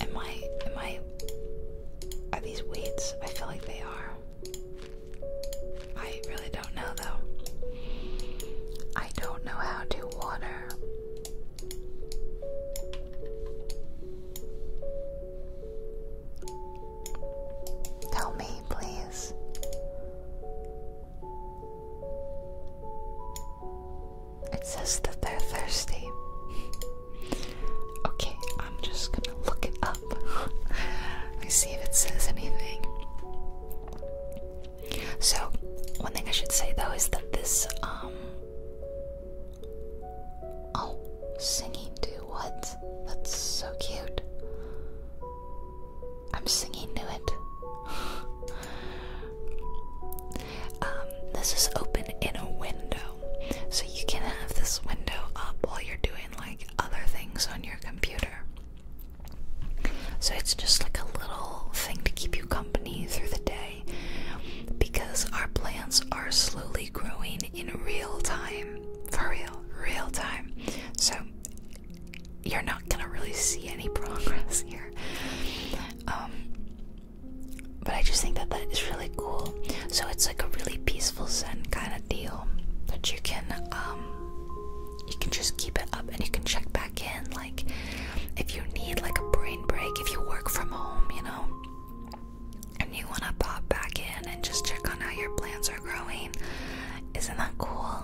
Am I, am I, are these weeds? I feel like they are. I really don't know though. I don't know how to water. Tell me, please. It says that they're thirsty. okay, I'm just gonna look it up. Let me see if it says anything. So, one thing I should say though is that this, um. Oh, singing to what? That's so cute. I'm singing to it. Um, this is open in a window. So you can have this window up while you're doing like other things on your computer. So it's just like a little thing to keep you company through the day because our plants are slowly growing in real time. For real, real time. So you're not gonna really see any progress here. Um, but I just think that that is really cool. So it's like a really peaceful Zen kind of deal that you can um, you can just keep it up and you can check back in like if you need like a brain break, if you work from home, you know, and you want to pop back in and just check on how your plants are growing, isn't that cool?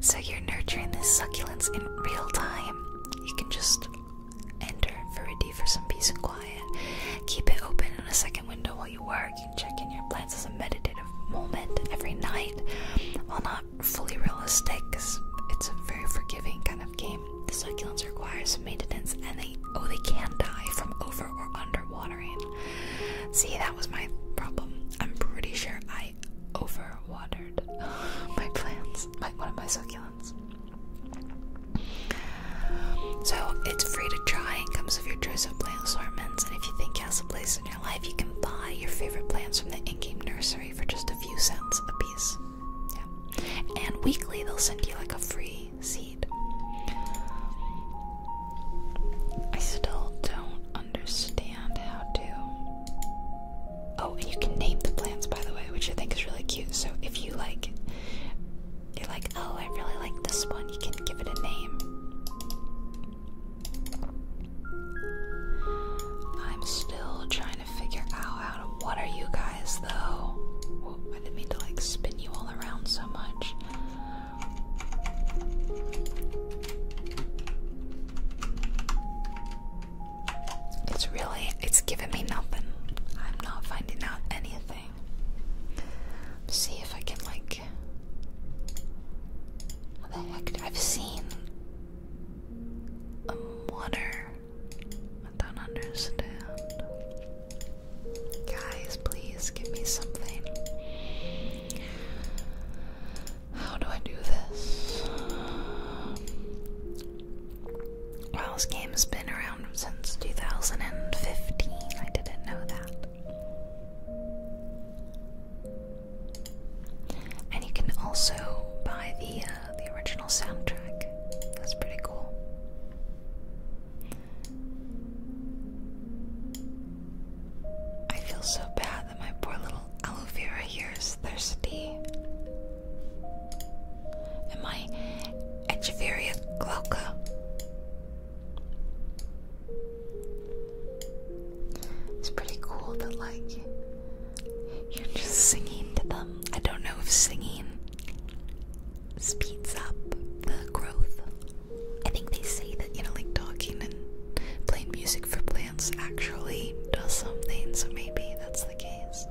So you're nurturing this succulents in real time. You can just enter for a Verity for some peace and quiet. Keep it open in a second window while you work. You can check in your plants as a meditative moment every night fully realistic because it's a very forgiving kind of game. The succulents require some maintenance and they oh they can die from over or under watering. See that was my problem. I'm pretty sure I over watered my plants, my one of my succulents. So it's free to try and comes with your choice of plant assortments. And if you think it has a place in your life, you can buy your favorite plants from the in-game nursery for just a few cents a piece. And weekly they'll send you like a free seed. I still don't understand how to. Oh, and you can name the plants by the way, which I think is really cute. So if you like you're like, oh, I really like this one, you can give it a name. I'm still trying to figure out how to water you guys, though. I didn't mean to like spin you all around so much. It's really, it's giving me nothing. I'm not finding out anything. see if I can, like. What the heck? I've seen um, water. I don't understand. Guys, please give me something. How do I do this? Well, this game has been around since 2015. I didn't know that. And you can also buy the uh, the original soundtrack. That's pretty cool. I feel so bad that my poor little aloe here is thirsty. And my Echeveria glauca. It's pretty cool that, like, you're just singing to them. I don't know if singing speeds up the growth. I think they say that, you know, like talking and playing music for plants actually does something, so maybe that's the case.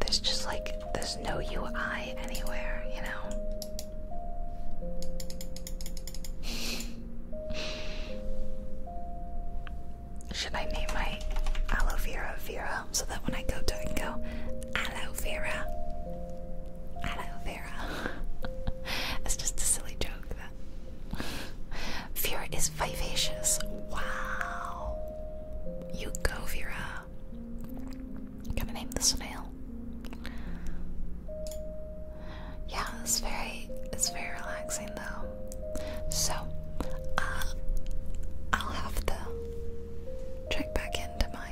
There's just like, there's no UI anywhere, you know? Should I name my aloe vera Vera so that when I go to it, go aloe vera, aloe vera? it's just a silly joke that Vera is vivacious. Wow, you go Vera. Gonna name the snail yeah, it's very it's very relaxing though. So uh, I'll have to check back into my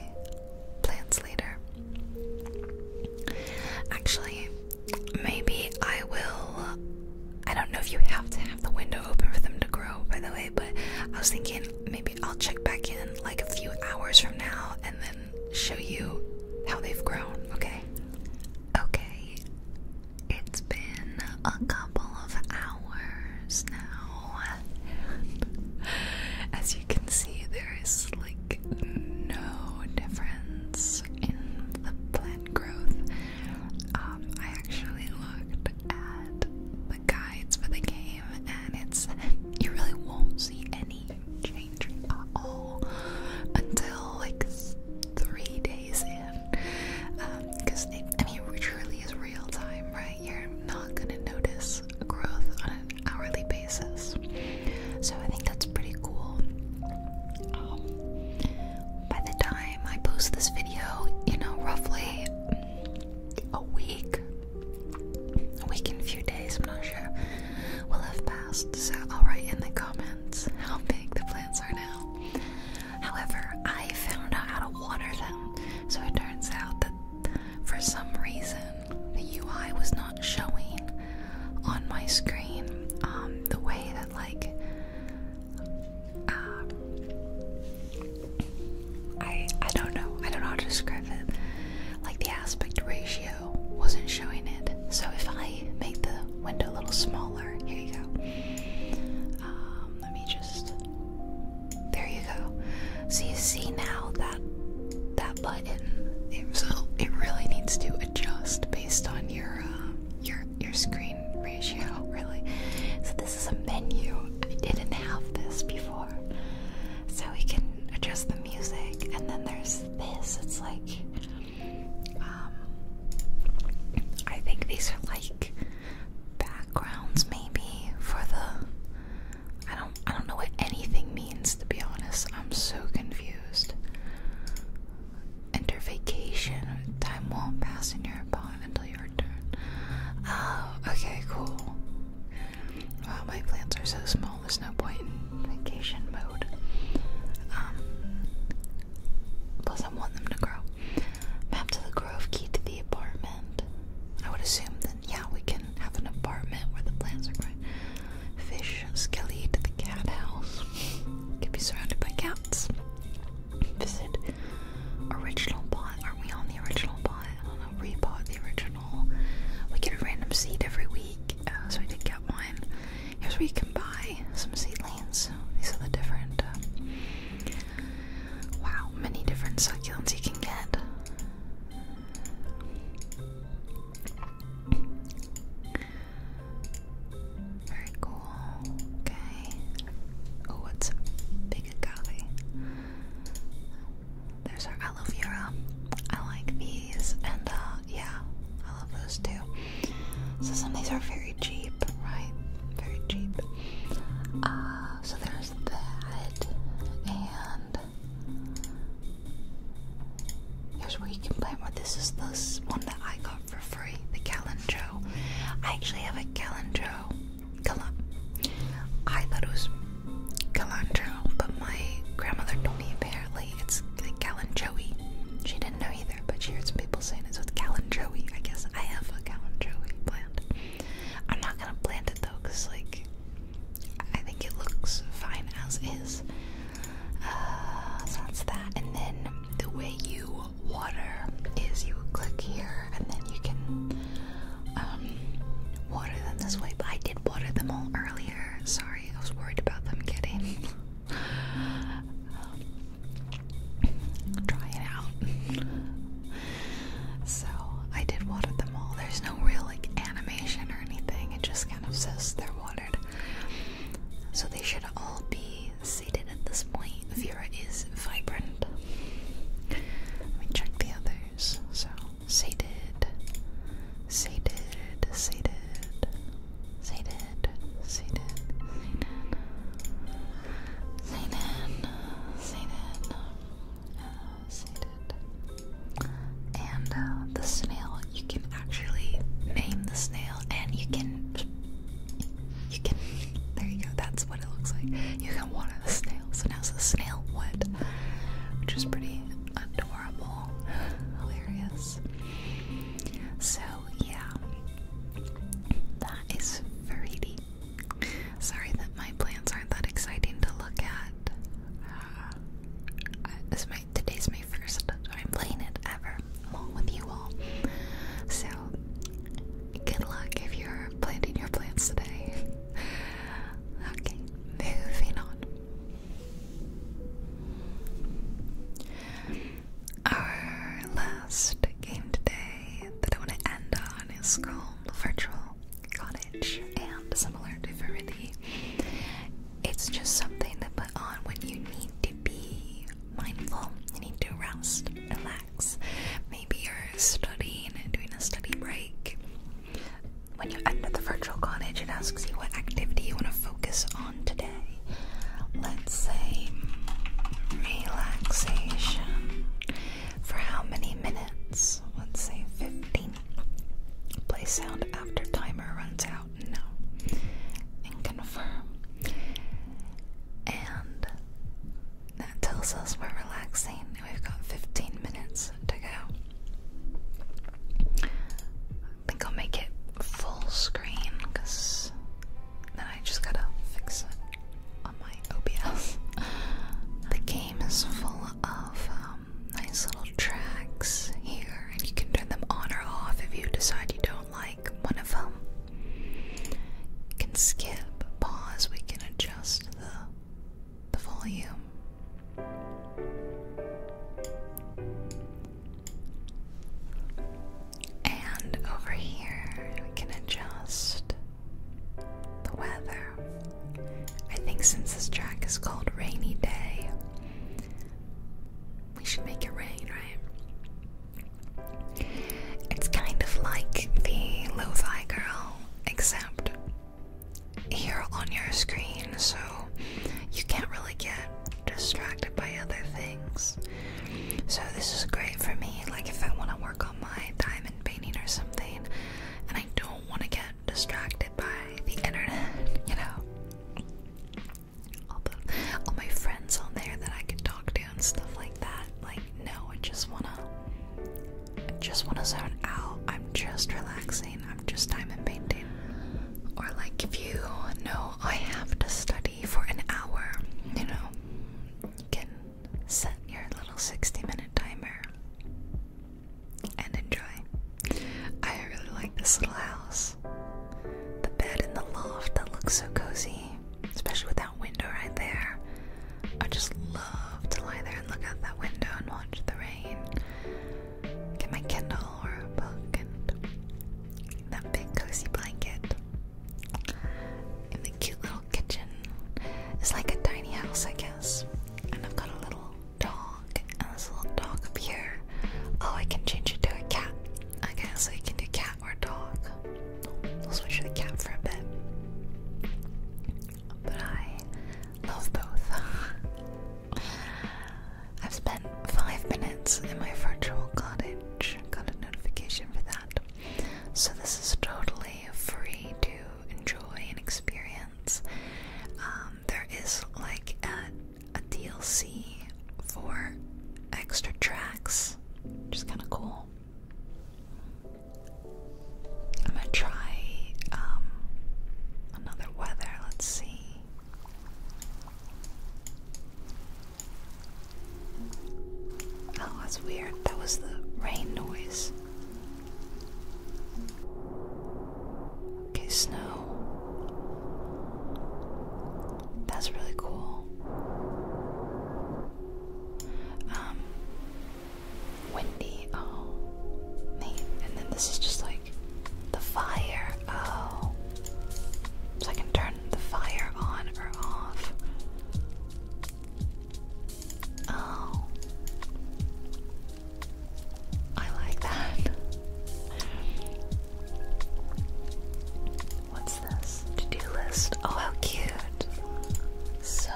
plants later. Actually, maybe I will. I don't know if you have to have the window open for them to grow, by the way, but I was thinking maybe I'll check back in like a few hours from now and then show you how they've grown, okay? Okay, it's been a couple of hours now. As you can see, there is like no difference in the plant growth. Um, I actually looked at the guides for the game, and it's you really won't see any change at all until like three days in. Because, um, I mean, it is real time, right? You're not going to notice growth on an hourly basis. So I think that's pretty cool. Um, by the time I post this video, you know, roughly a week, a week and a few days, I'm not sure, we'll have so I'll write in the comments how big the plants are now. However, I found out how to water them, so it turns out that for some reason the UI was not showing on my screen um, the way that, like, uh, I I don't know I don't know how to describe it like the aspect ratio wasn't showing it. So if I make the window a little smaller, here you go. Um, let me just. There you go. So you see now that that button. so it really needs to adjust based on your uh, your your screen ratio, really. So this is a menu. I didn't have this before. So we can adjust the music, and then there's this. It's like um, I think these are like backgrounds, maybe for the. I don't. I don't know what anything means to be honest. I'm so confused. Enter vacation. Time won't pass in your upon until you return. Oh, okay, cool. Wow, my plants are so small. There's no point in vacation mode. Um, plus, I want them to grow. Map to the grove, key the apartment. I would assume that, yeah, we can have an apartment where the plants are growing. Fish, skelly to the cat house. Could be surrounded by cats. Visit original bot. are we on the original bot? I don't know. Repot the original. We get a random seed every week, uh, so we did get one. Here's where you can buy some seedlings. These are the different. Uh, wow, many different succulents you can get. Very cool. Okay. Oh, it's big agave. There's our aloe vera. I like these, and uh, yeah, I love those too. So some of these are very cheap, right? Very cheap. Ah, so there's that, and here's where you can play more. This is this one that I got for free, the Calendro. I actually have a Calendro. Cal I thought it was Calendro, but my grandmother told me apparently it's the Calenjoey. She didn't know either, but she heard some people saying it's with Joey. I guess I have a Joey plant. I'm not gonna plant it though, like I think it looks fine as is. Uh, that's that. And then the way you water is you click here, and then you can um, water them this way. But I did water them all earlier. Sorry, I was worried about them getting Try it out. So I did water them all. There's no real like animation or anything. It just kind of says they're watered. So they should all be seated at this point. Vera is vibrant. Let me check the others. So sated, sated, sated. Satan, Satan, Satan, Satan, Satan, uh, Satan. And uh, the snail, you can actually name the snail, and you can, you can. There you go. That's what it looks like. You can water the snail. So now's the snail wood, which is pretty adorable. Hilarious. So, yeah. That is fruity. Sorry that my plants aren't that exciting to look at. Uh, today's my first time planting it ever, along with you all. So, good luck if you're planting your plants today. okay, moving on. Our last game today that I want to end on is called Virtual Cottage, and similar to Verity, it's just something to put on when you need to be mindful, you need to rest, relax. Maybe you're studying and doing a study break. When you enter the virtual cottage, it asks you what activity you want to focus on today let's say, relaxation for how many minutes? Let's say 15. Play sound after timer runs out. No. And confirm. And that tells us we're relaxing. We've got 15 minutes to go. I think I'll make it full screen because then I just gotta fix it on my OBS. the game is full of um, nice little tracks here, and you can turn them on or off if you decide you don't like one of them. You can skip, pause, we can adjust the, the volume. And over here, we can adjust the weather. I think since this track is called Rainy Day, we should make it rain, right? It's kind of like the Lo-Fi Girl, except here on your screen, so you can't really get distracted by other things. So this is great for me. Like if I want to work on my diamond painting or something, and I don't want to get distracted by the internet, you know, all, my friends on there that I can talk to and stuff like that. Like no, I just wanna, I just wanna zone out. I'm just relaxing. I'm just diamond painting or like if you know I have to study for an hour, you know, you can set your little 60 minute timer and enjoy. I really like this little house. The bed in the loft that looks so cozy, especially with that window right there. I just love to lie there and look out that window and watch the rain. Get my Kindle a book and that big cozy blanket. In the cute little kitchen. It's like a tiny house, I guess. And I've got a little dog, and this little dog up here. Oh, I can change it to a cat. Okay, so you can do cat or dog. I'll switch to the cat for a bit. But I love both. I've spent five minutes in my virtual cottage. Got a notification for that. So this is totally free to enjoy and experience. Um, there is like a, DLC for extra tracks, which is kind of cool. I'm gonna try um, another weather. Let's see. Oh, that's weird. That was the rain noise. Okay, snow. That's really cool. Um, windy. Oh, And then this is just like the fire. Oh. So I can turn the fire on or off. Oh. I like that. What's this? To do list. Oh, how cute. So.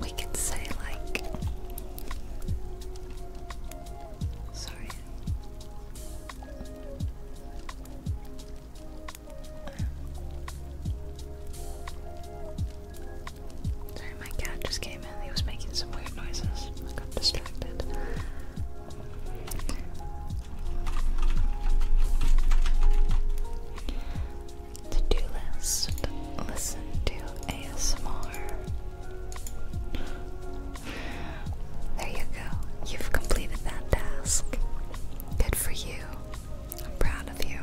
We could say, like. Sorry, Sorry, my cat just came in. He was making some weird noises. I got distracted. To do list listen to ASMR. There you go. You've completed that task. Good for you. I'm proud of you.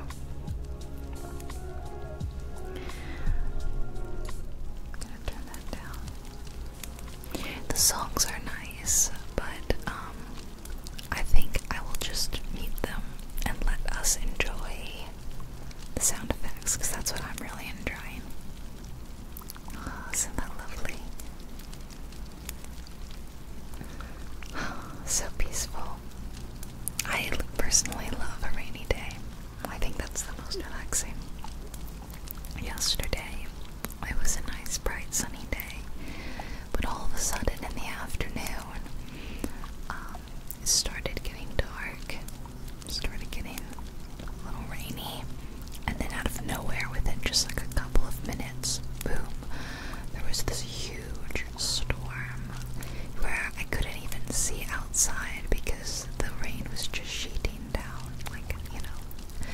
gonna turn that down. The songs are nice, but um, I think I will just mute them and let us enjoy the sound effects because that's what I'm really enjoying. Oh, isn't that lovely? so peaceful. I personally love a rainy day. I think that's the most relaxing. Yesterday, it was a nice, bright, sunny day, but all of a sudden in the afternoon, um, it started getting dark started getting a little rainy, and then out of nowhere, within just like a couple of minutes, boom, there was this huge storm where I couldn't even see outside because the rain was just sheeting down, like, you know,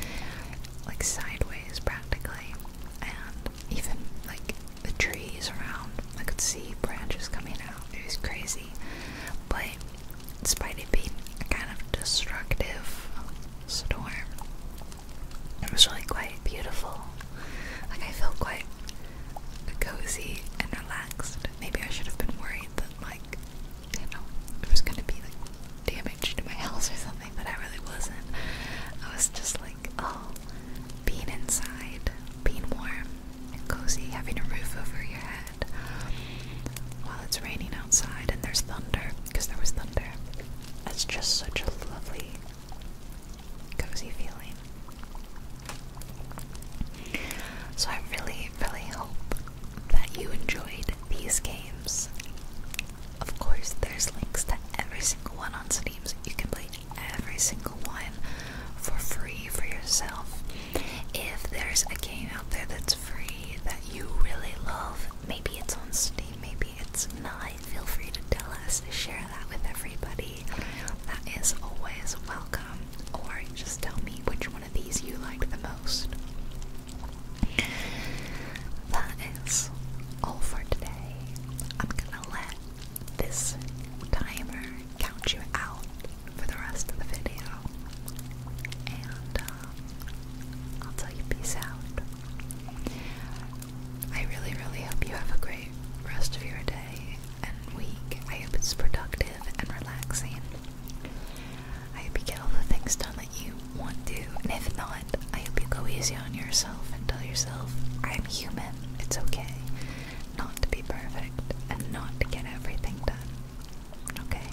like sideways practically, and even like the trees around, I could see branches coming out. It was crazy but despite it being a kind of destructive storm, it was really quite beautiful. Like, I felt quite cozy and relaxed. Maybe I should have been worried that, like, you know, it was gonna be like damaged to my house or something, but I really wasn't. I was just like, oh, being inside, being warm and cozy, having a roof over your head while it's raining outside and there's thunder because there was thunder. It's just such a lovely, cozy feeling. So, I really, really hope that you enjoyed these games. Of course, there's links to every single one on Steam, you can play every single one for free for yourself. If there's a game out there that's free that you really love. Maybe it's on Steam, maybe it's not. Feel free to tell us, to share that with everybody. That is always welcome. Or just tell me which one of these you liked the most. That is all for today. I'm gonna let this timer count you out for the rest of the video. And um, I'll tell you peace out. I really, really hope you have a great rest of your day and week. I hope it's productive and relaxing. I hope you get all the things done that you want to, and if not, I hope you go easy on yourself and tell yourself, I'm human, it's okay not to be perfect, and not to get everything done. Okay?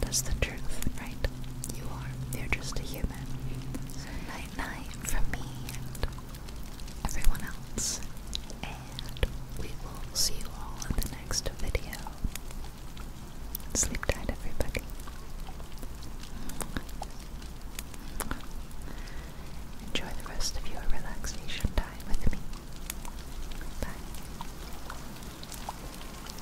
That's the truth, right? You are. You're just a human. night night from me and everyone else. And we will see you all in the next video. Sleep tight, everybody. Enjoy the rest of your relaxation time with me. Bye.